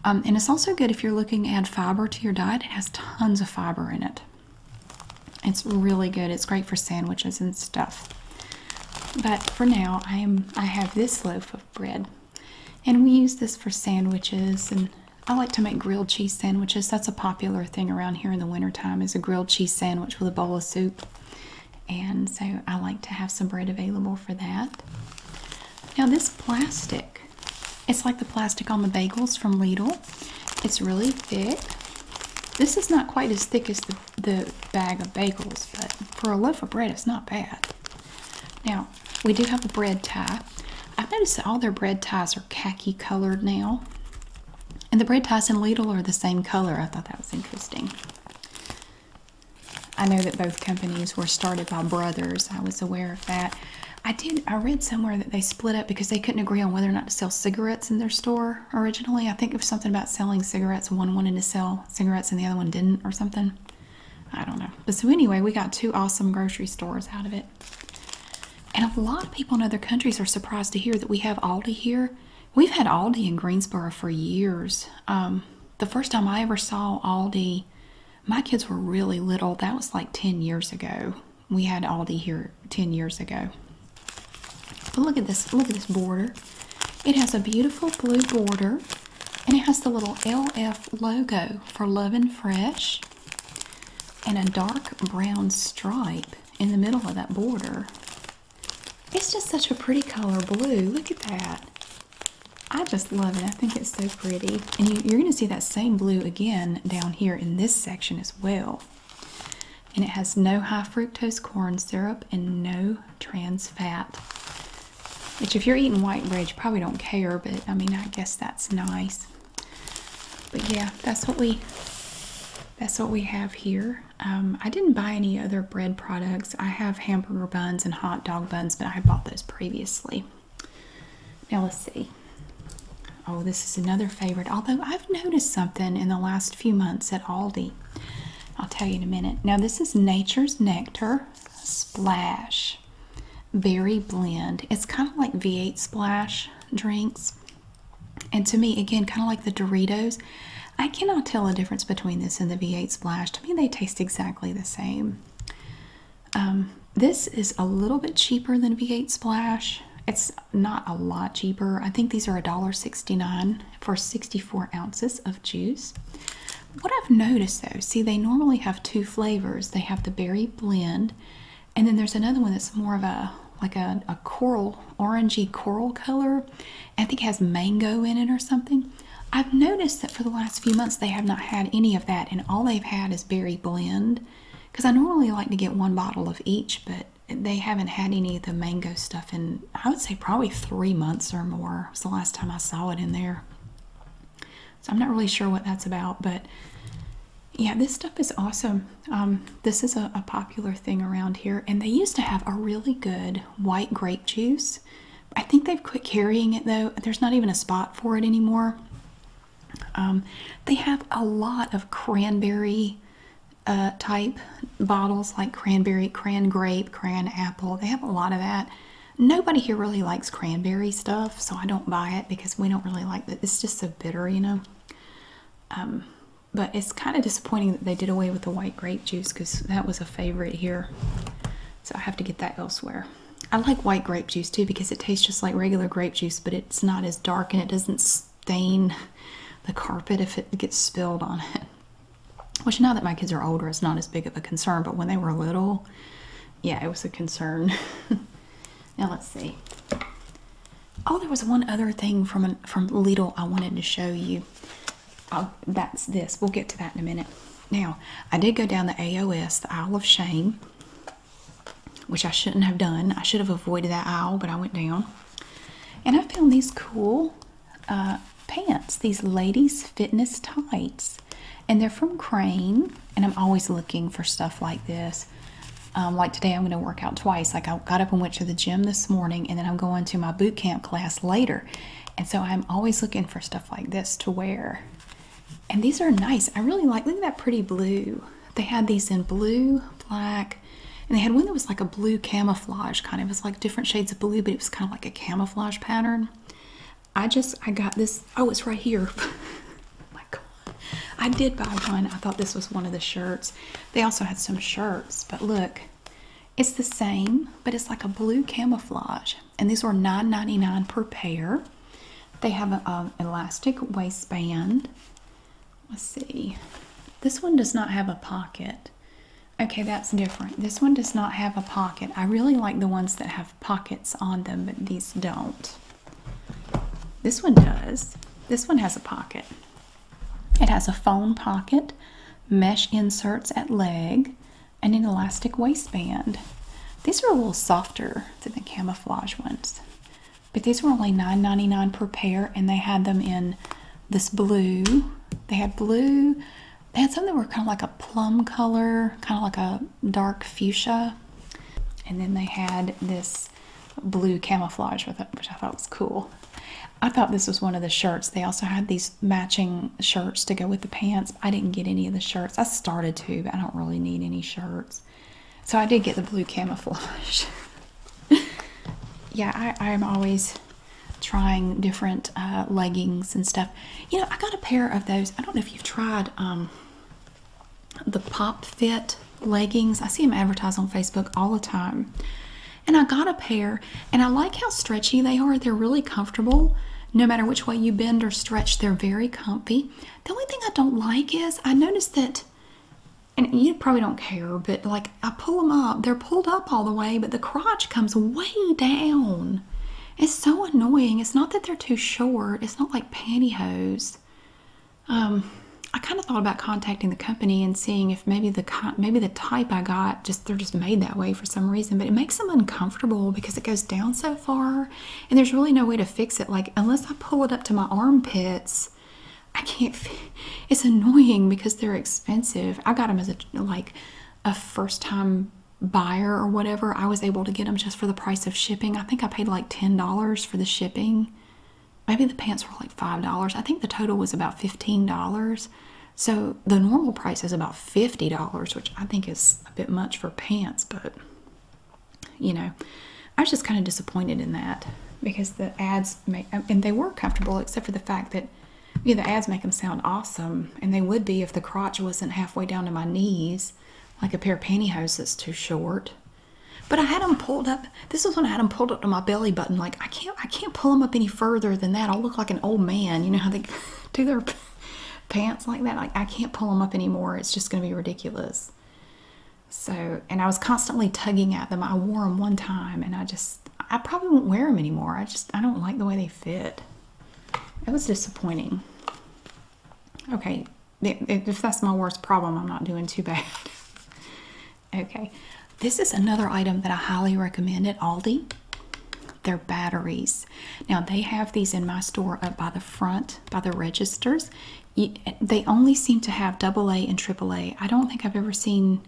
Um, and it's also good if you're looking to add fiber to your diet. It has tons of fiber in it. It's really good. It's great for sandwiches and stuff. But for now, I am I have this loaf of bread, and we use this for sandwiches. And I like to make grilled cheese sandwiches. That's a popular thing around here in the wintertime is a grilled cheese sandwich with a bowl of soup. And so I like to have some bread available for that. Now this plastic, it's like the plastic on the bagels from Lidl. It's really thick. This is not quite as thick as the, the bag of bagels, but for a loaf of bread, it's not bad. Now, we do have the bread tie. I've noticed that all their bread ties are khaki colored now. And the bread ties in Lidl are the same color. I thought that was interesting. I know that both companies were started by brothers. I was aware of that. I did. I read somewhere that they split up because they couldn't agree on whether or not to sell cigarettes in their store originally. I think it was something about selling cigarettes. One wanted to sell cigarettes and the other one didn't, or something. I don't know. But so anyway, we got two awesome grocery stores out of it. And a lot of people in other countries are surprised to hear that we have Aldi here. We've had Aldi in Greensboro for years. Um, the first time I ever saw Aldi my kids were really little. That was like 10 years ago. We had Aldi here 10 years ago. But look at this, look at this border. It has a beautiful blue border and it has the little LF logo for Love and Fresh and a dark brown stripe in the middle of that border. It's just such a pretty color blue. Look at that. I just love it. I think it's so pretty. And you, are going to see that same blue again down here in this section as well. And it has no high fructose corn syrup and no trans fat. Which if you're eating white bread, you probably don't care, but I mean, I guess that's nice. But yeah, that's what we that's what we have here. Um, I didn't buy any other bread products. I have hamburger buns and hot dog buns, but I bought those previously. Now let's see. Oh, this is another favorite. Although I've noticed something in the last few months at Aldi. I'll tell you in a minute. Now this is Nature's Nectar Splash Berry Blend. It's kind of like V8 Splash drinks. And to me, again, kind of like the Doritos, I cannot tell a difference between this and the V8 Splash. To me, they taste exactly the same. Um, this is a little bit cheaper than V8 Splash. It's not a lot cheaper. I think these are a dollar sixty-nine for 64 ounces of juice. What I've noticed though, see, they normally have two flavors. They have the berry blend, and then there's another one that's more of a like a, a coral, orangey coral color. I think has mango in it or something. I've noticed that for the last few months they have not had any of that, and all they've had is berry blend. Because I normally like to get one bottle of each, but they haven't had any of the mango stuff in, I would say, probably three months or more. It was the last time I saw it in there. So I'm not really sure what that's about, but yeah, this stuff is awesome. Um, this is a popular thing around here, and they used to have a really good white grape juice I think they've quit carrying it though. There's not even a spot for it anymore. Um, they have a lot of cranberry uh, type bottles like cranberry, cran grape, cran apple. They have a lot of that. Nobody here really likes cranberry stuff, so I don't buy it because we don't really like it. It's just so bitter, you know. Um, but it's kind of disappointing that they did away with the white grape juice because that was a favorite here. So I have to get that elsewhere. I like white grape juice too because it tastes just like regular grape juice, but it's not as dark and it doesn't stain the carpet if it gets spilled on it. Which now that my kids are older, it's not as big of a concern, but when they were little, yeah, it was a concern. now let's see. Oh, there was one other thing from an, from Lidl I wanted to show you. Oh, that's this. We'll get to that in a minute. Now, I did go down the AOS, the Isle of Shame, which I shouldn't have done. I should have avoided that aisle, but I went down. And I found these cool uh, pants, these ladies' fitness tights. And they're from Crane, and I'm always looking for stuff like this. Um, like today, I'm going to work out twice. Like I got up and went to the gym this morning, and then I'm going to my boot camp class later. And so I'm always looking for stuff like this to wear. And these are nice. I really like, look at that pretty blue. They had these in blue, black, and they had one that was like a blue camouflage kind of. It was like different shades of blue, but it was kind of like a camouflage pattern. I just, I got this. Oh, it's right here. Oh my God. I did buy one. I thought this was one of the shirts. They also had some shirts, but look, it's the same, but it's like a blue camouflage and these were $9.99 per pair. They have an elastic waistband. Let's see. This one does not have a pocket. Okay, that's different. This one does not have a pocket. I really like the ones that have pockets on them, but these don't. This one does. This one has a pocket. It has a phone pocket, mesh inserts at leg, and an elastic waistband. These are a little softer than the camouflage ones, but these were only $9.99 per pair, and they had them in this blue. They had blue, they had some that were kind of like a plum color, kind of like a dark fuchsia, and then they had this blue camouflage with it, which I thought was cool. I thought this was one of the shirts. They also had these matching shirts to go with the pants. I didn't get any of the shirts. I started to, but I don't really need any shirts. So I did get the blue camouflage. yeah, I, am always trying different uh, leggings and stuff. You know, I got a pair of those. I don't know if you've tried um, the Pop Fit leggings. I see them advertised on Facebook all the time. And I got a pair, and I like how stretchy they are. They're really comfortable. No matter which way you bend or stretch, they're very comfortable. The only thing I don't like is I noticed that, and you probably don't care, but like I pull them up, they're pulled up all the way, but the crotch comes way down. It's so annoying. It's not that they're too short, it's not like pantyhose. Um, I kind of thought about contacting the company and seeing if maybe the maybe the type I got just they're just made that way for some reason, but it makes them uncomfortable because it goes down so far and there's really no way to fix it like unless i pull it up to my armpits i can't it's annoying because they're expensive i got them as a like a first time buyer or whatever i was able to get them just for the price of shipping i think i paid like $10 for the shipping maybe the pants were like $5 i think the total was about $15 so the normal price is about $50 which i think is a bit much for pants but you know, I was just kind of disappointed in that because the ads make, and they were comfortable except for the fact that, you know, the ads make them sound awesome. And they would be if the crotch wasn't halfway down to my knees, like a pair of pantyhose that's too short. But I had them pulled up. This was when I had them pulled up to my belly button. Like I can't, I can't pull them up any further than that. I'll look like an old man. You know how they do their pants like that. I can't pull them up anymore. It's just going to be ridiculous. So, and I was constantly tugging at them. I wore them one time and I just, I probably won't wear them anymore. I just, I don't like the way they fit. It was disappointing. Okay, if that's my worst problem, I'm not doing too bad. okay, this is another item that I highly recommend at Aldi. They're batteries. Now, they have these in my store up by the front by the registers. They only seem to have AA and AAA. I don't think I've ever seen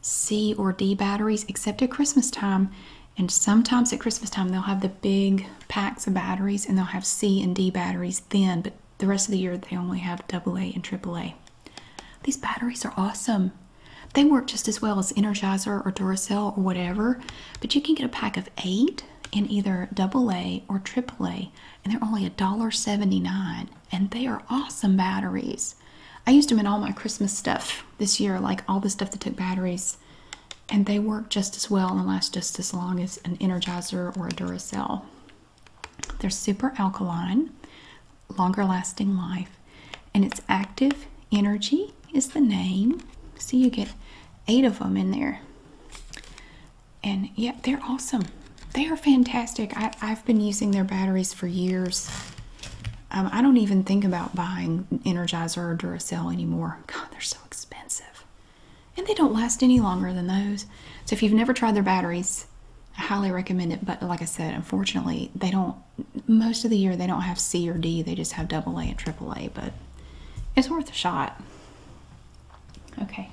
C or D batteries except at Christmas time. And sometimes at Christmas time, they'll have the big packs of batteries and they'll have C and D batteries then, but the rest of the year they only have AA and AAA. These batteries are awesome. They work just as well as Energizer or Duracell or whatever, but you can get a pack of eight in either AA or AAA, and they're only $1.79, and they are awesome batteries. I used them in all my Christmas stuff this year, like all the stuff that took batteries, and they work just as well and last just as long as an Energizer or a Duracell. They're super alkaline, longer lasting life, and it's active energy is the name. See, you get eight of them in there. And yeah, they're awesome. They are fantastic. I, have been using their batteries for years. Um, I don't even think about buying Energizer or Duracell anymore. God, they're so expensive. And they don't last any longer than those. So if you've never tried their batteries, I highly recommend it. But like I said, unfortunately, they don't, most of the year, they don't have C or D. They just have double A AA and triple A. But it's worth a shot. Okay.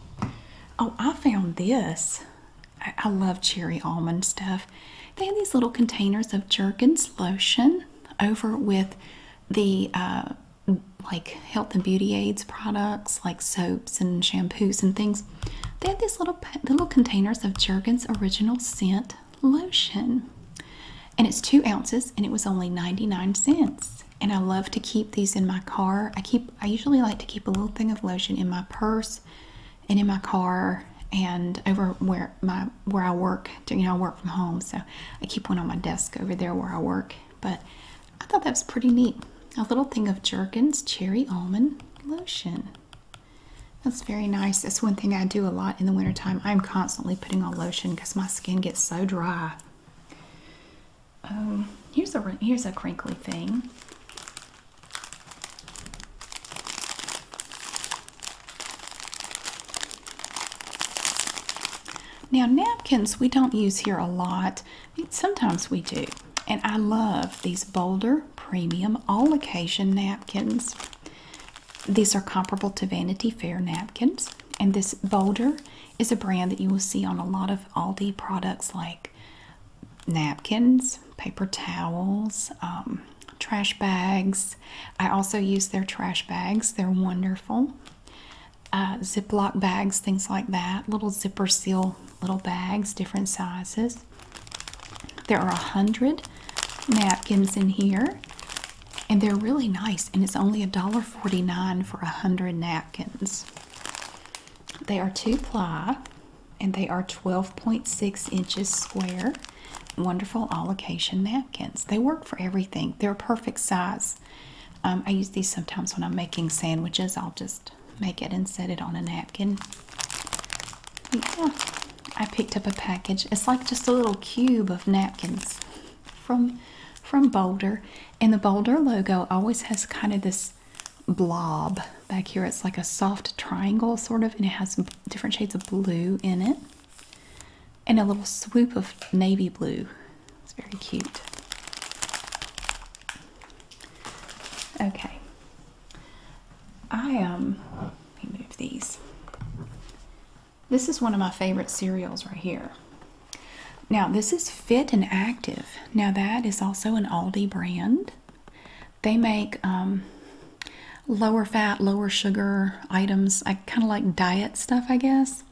Oh, I found this. I, love cherry almond stuff. They have these little containers of Jergens lotion over with the uh, like health and beauty aids products, like soaps and shampoos and things. They have these little little containers of Jergens Original Scent Lotion, and it's two ounces, and it was only ninety nine cents and I love to keep these in my car. I keep I usually like to keep a little thing of lotion in my purse and in my car and over where my where I work. You know, I work from home, so I keep one on my desk over there where I work. But I thought that was pretty neat. A little thing of Jergens cherry almond lotion. That's very nice. That's one thing I do a lot in the wintertime. I'm constantly putting on lotion because my skin gets so dry. Oh, here's a here's a crinkly thing. Now napkins we don't use here a lot. Sometimes we do. And I love these Boulder Premium All Occasion napkins. These are comparable to Vanity Fair napkins. And this Boulder is a brand that you will see on a lot of Aldi products like napkins, paper towels, um, trash bags. I also use their trash bags, they're wonderful. Uh, Ziploc bags, things like that, little zipper seal little bags, different sizes. There are a hundred napkins in here and they're really nice and it's only $1.49 for a 100 napkins they are two ply and they are 12.6 inches square wonderful all occasion napkins they work for everything they're a perfect size um, i use these sometimes when i'm making sandwiches i'll just make it and set it on a napkin yeah i picked up a package it's like just a little cube of napkins from from Boulder, and the Boulder logo always has kind of this blob back here. It's like a soft triangle sort of, and it has different shades of blue in it, and a little swoop of navy blue. It's very cute. Okay, I um, let these. This is one of my favorite cereals right here. Now, this is Fit and Active. Now, that is also an Aldi brand. They make um, lower fat, lower sugar items. I kind of like diet stuff, I guess.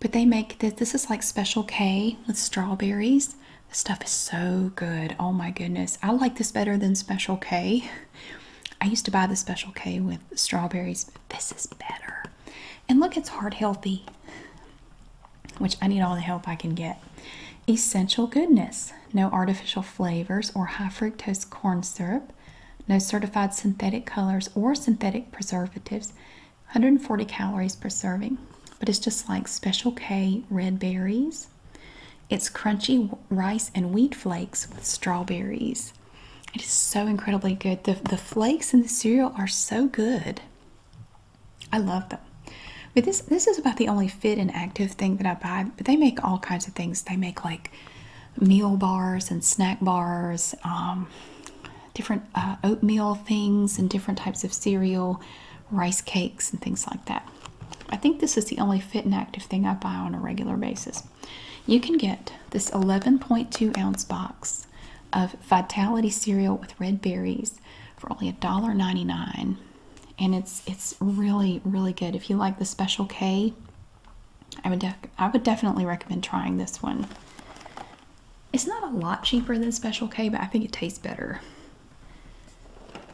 But they make this. This is like Special K with strawberries. This stuff is so good. Oh my goodness. I like this better than Special K. I used to buy the Special K with strawberries, this is better. And look, it's heart healthy, which I need all the help I can get. Essential goodness, no artificial flavors or high fructose corn syrup, no certified synthetic colors or synthetic preservatives, 140 calories per serving. But it's just like Special K red berries. It's crunchy rice and wheat flakes with strawberries. It is so incredibly good. The, the flakes in the cereal are so good. I love them. But this this is about the only fit and active thing that I buy. But they make all kinds of things. They make like meal bars and snack bars, um, different uh, oatmeal things and different types of cereal, rice cakes and things like that. I think this is the only fit and active thing I buy on a regular basis. You can get this 11.2 ounce box of Vitality cereal with red berries for only $1.99. And it's it's really, really good. If you like the Special K, I would, I would definitely recommend trying this one. It's not a lot cheaper than Special K, but I think it tastes better.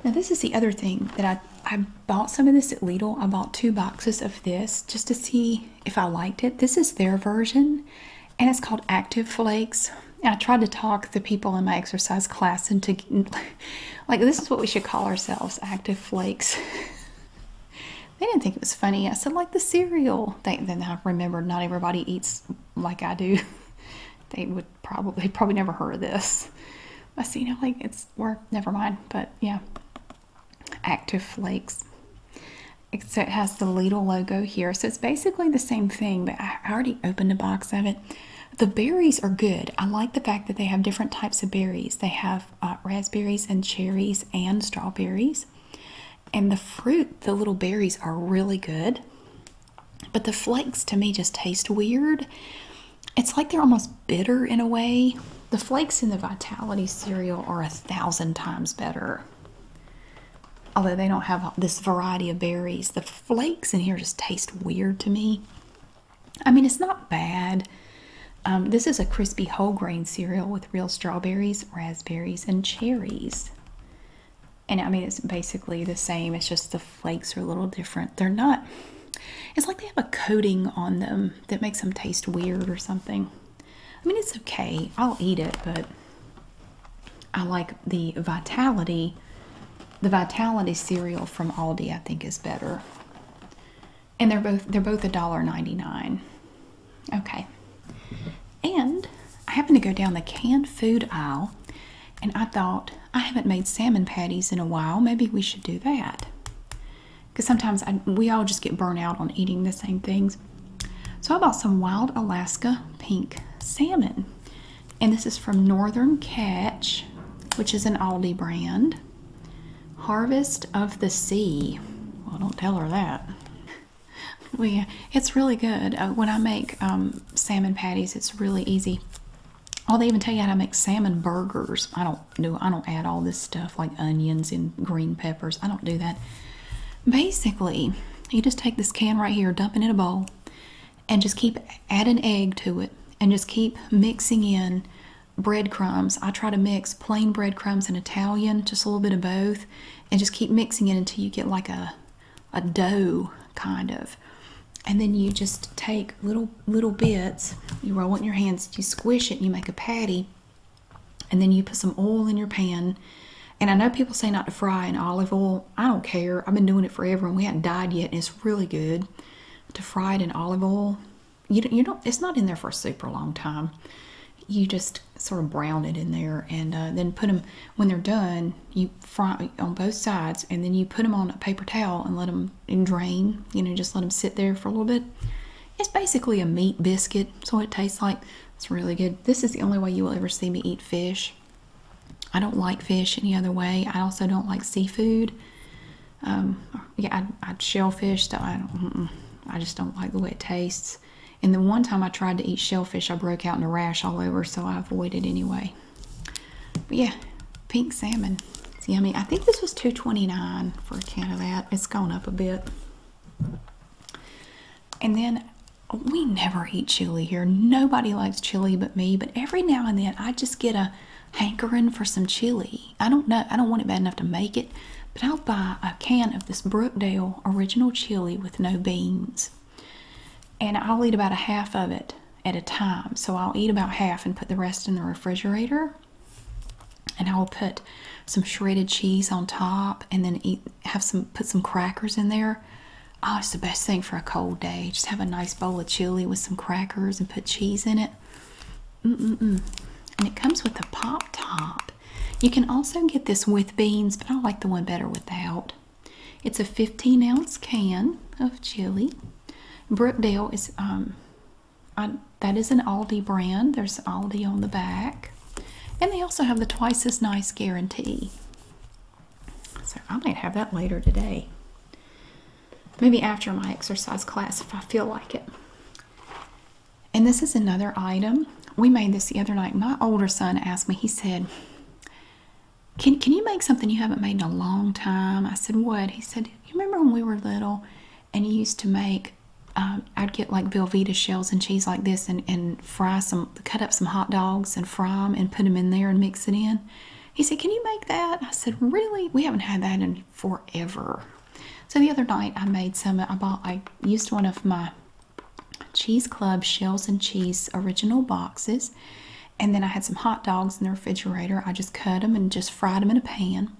Now this is the other thing that I, I bought some of this at Lidl. I bought two boxes of this just to see if I liked it. This is their version, and it's called Active Flakes. I tried to talk the people in my exercise class into like this is what we should call ourselves, Active Flakes. they didn't think it was funny. I said like the cereal. They, then I remembered not everybody eats like I do. they would probably probably never heard of this. I see, now, like it's we're never mind. But yeah, active flakes except it has the Lidl logo here so it's basically the same thing but I already opened a box of it the berries are good I like the fact that they have different types of berries they have uh, raspberries and cherries and strawberries and the fruit the little berries are really good but the flakes to me just taste weird it's like they're almost bitter in a way the flakes in the vitality cereal are a thousand times better Although they don't have this variety of berries, the flakes in here just taste weird to me. I mean, it's not bad. Um, this is a crispy whole grain cereal with real strawberries, raspberries, and cherries. And I mean, it's basically the same, it's just the flakes are a little different. They're not, it's like they have a coating on them that makes them taste weird or something. I mean, it's okay. I'll eat it, but I like the Vitality. The Vitality cereal from Aldi, I think, is better. And they're both they're both a dollar ninety nine. Okay. And I happened to go down the canned food aisle and I thought I haven't made salmon patties in a while. Maybe we should do that. Because sometimes we all just get burnt out on eating the same things. So I bought some wild Alaska pink salmon. And this is from Northern Catch, which is an Aldi brand. Harvest of the Sea. Well, don't tell her that. we, it's really good. Uh, when I make um, salmon patties, it's really easy. Oh, they even tell you how to make salmon burgers. I don't do. I don't add all this stuff like onions and green peppers. I don't do that. Basically, you just take this can right here, dump it in a bowl, and just keep add an egg to it, and just keep mixing in breadcrumbs. I try to mix plain breadcrumbs and Italian, just a little bit of both, and just keep mixing it until you get like a a dough kind of. And then you just take little little bits, you roll it in your hands, you squish it, and you make a patty and then you put some oil in your pan. And I know people say not to fry in olive oil. I don't care. I've been doing it forever, and we haven't died yet. And it's really good to fry it in olive oil. You do you don't. It's not in there for a super long time. You just sort of brown it in there, and uh, then put them when they're done. You fry on both sides, and then you put them on a paper towel and let them and drain. You know, just let them sit there for a little bit. It's basically a meat biscuit, so it tastes like it's really good. This is the only way you will ever see me eat fish. I don't like fish any other way. I also don't like seafood. Um, yeah, I, I shellfish. Stuff. I I just don't like the way it tastes. And the one time I tried to eat shellfish, I broke out in a rash all over, so I avoided anyway. But yeah, pink salmon. It's yummy. I think this was two twenty nine for a can of that. It's gone up a bit. And then we never eat chili here. Nobody likes chili but me, but every now and then I just get a hankering for some chili. I don't know, I don't want it bad enough to make it, but I'll buy a can of this Brookdale original chili with no beans. And I'll eat about a half of it at a time. So I'll eat about half and put the rest in the refrigerator. And I'll put some shredded cheese on top and then eat have some put some crackers in there. Oh, it's the best thing for a cold day. Just have a nice bowl of chili with some crackers and put cheese in it. And it comes with a pop top. You can also get this with beans, but I like the one better without. It's a 15 ounce can of chili. Brookdale is um, I, that is an Aldi brand. There's Aldi on the back. And they also have the twice as nice guarantee. So I might have that later today. Maybe after my exercise class if I feel like it. And this is another item. We made this the other night. My older son asked me, he said, can, can you make something you haven't made in a long time? I said, What? He said, You remember when we were little and you used to make uh, I'd get like Velveeta shells and cheese like this and, and fry some, cut up some hot dogs and fry them and put them in there and mix it in. He said, Can you make that? I said, Really? We haven't had that in forever. So the other night I made some, I bought, I used one of my Cheese Club Shells and Cheese original boxes. And then I had some hot dogs in the refrigerator. I just cut them and just fried them in a pan.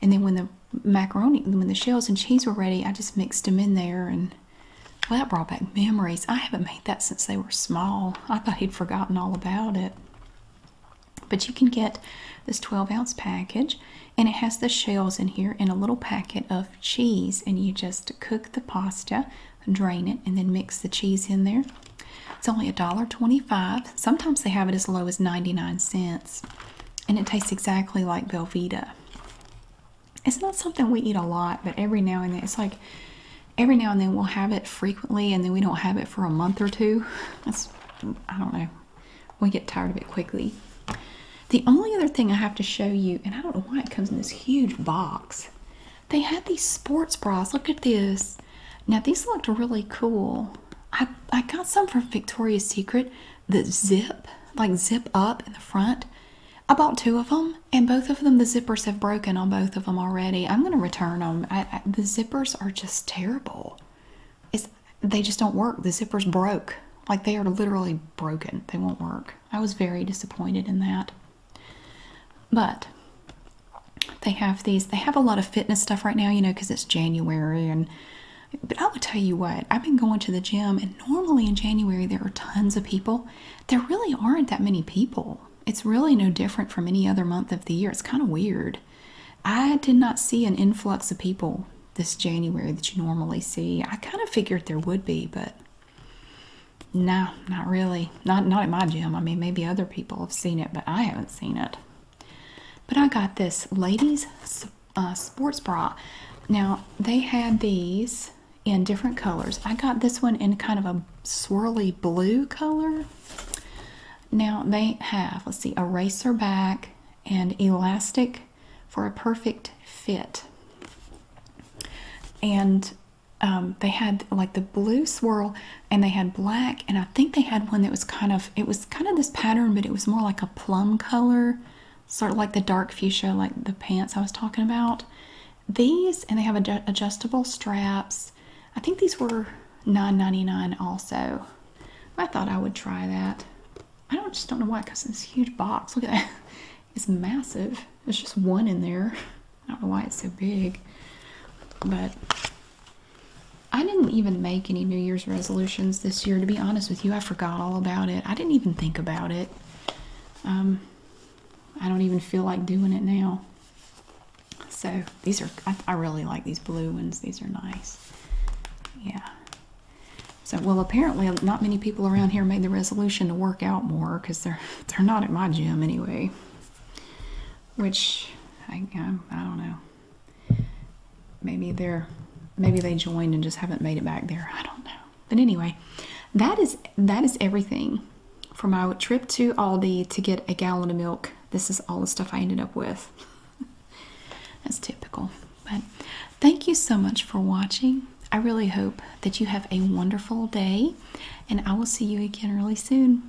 And then when the macaroni, when the shells and cheese were ready, I just mixed them in there and well, that brought back memories. I haven't made that since they were small. I thought he'd forgotten all about it. But you can get this 12 ounce package, and it has the shells in here and a little packet of cheese. And you just cook the pasta, drain it, and then mix the cheese in there. It's only a dollar twenty-five. Sometimes they have it as low as 99 cents. And it tastes exactly like Velveeta it's not something we eat a lot, but every now and then it's like every now and then we'll have it frequently and then we don't have it for a month or two. I don't know. We get tired of it quickly. The only other thing I have to show you, and I don't know why it comes in this huge box. They had these sports bras. Look at this. Now these looked really cool. I I got some from Victoria's Secret, the zip, like zip up in the front. I bought two of them, and both of them, the zippers have broken on both of them already. I'm going to return them. the zippers are just terrible. It's, they just don't work. The zippers broke. Like they are literally broken. They won't work. I was very disappointed in that. But they have these, they have a lot of fitness stuff right now, you know, because it's January. and But I will tell you what, I've been going to the gym and normally in January there are tons of people. There really aren't that many people. It's really no different from any other month of the year. It's kind of weird. I did not see an influx of people this January that you normally see. I kind of figured there would be, but no, not really. Not not at my gym. I mean, maybe other people have seen it, but I haven't seen it. But I got this ladies uh, sports bra. Now, they had these in different colors. I got this one in kind of a swirly blue color. Now, they have, let's see, a racer back and elastic for a perfect fit. And um, they had like the blue swirl and they had black and I think they had one that was kind of it was kind of this pattern but it was more like a plum color sort of like the dark fuchsia, like the pants I was talking about. These, and they have adjustable straps. I think these were 9.99 also. I thought I would try that. I don't just don't know why, because this huge box. Look at that. It's massive. There's just one in there. I don't know why it's so big. But I didn't even make any New Year's resolutions this year, to be honest with you. I forgot all about it. I didn't even think about it. Um, I don't even feel like doing it now. So these are, I, really like these blue ones. These are nice. Yeah. So, well, apparently not many people around here made the resolution to work out more because they're, they're not at my gym anyway. Which, I, I don't know. Maybe they're, maybe they joined and just haven't made it back there. I don't know. But anyway, that is that is everything from our trip to Aldi to get a gallon of milk. This is all the stuff I ended up with. That's typical. But thank you so much for watching. I really hope that you have a wonderful day, and I will see you again really soon.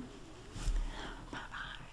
Bye bye.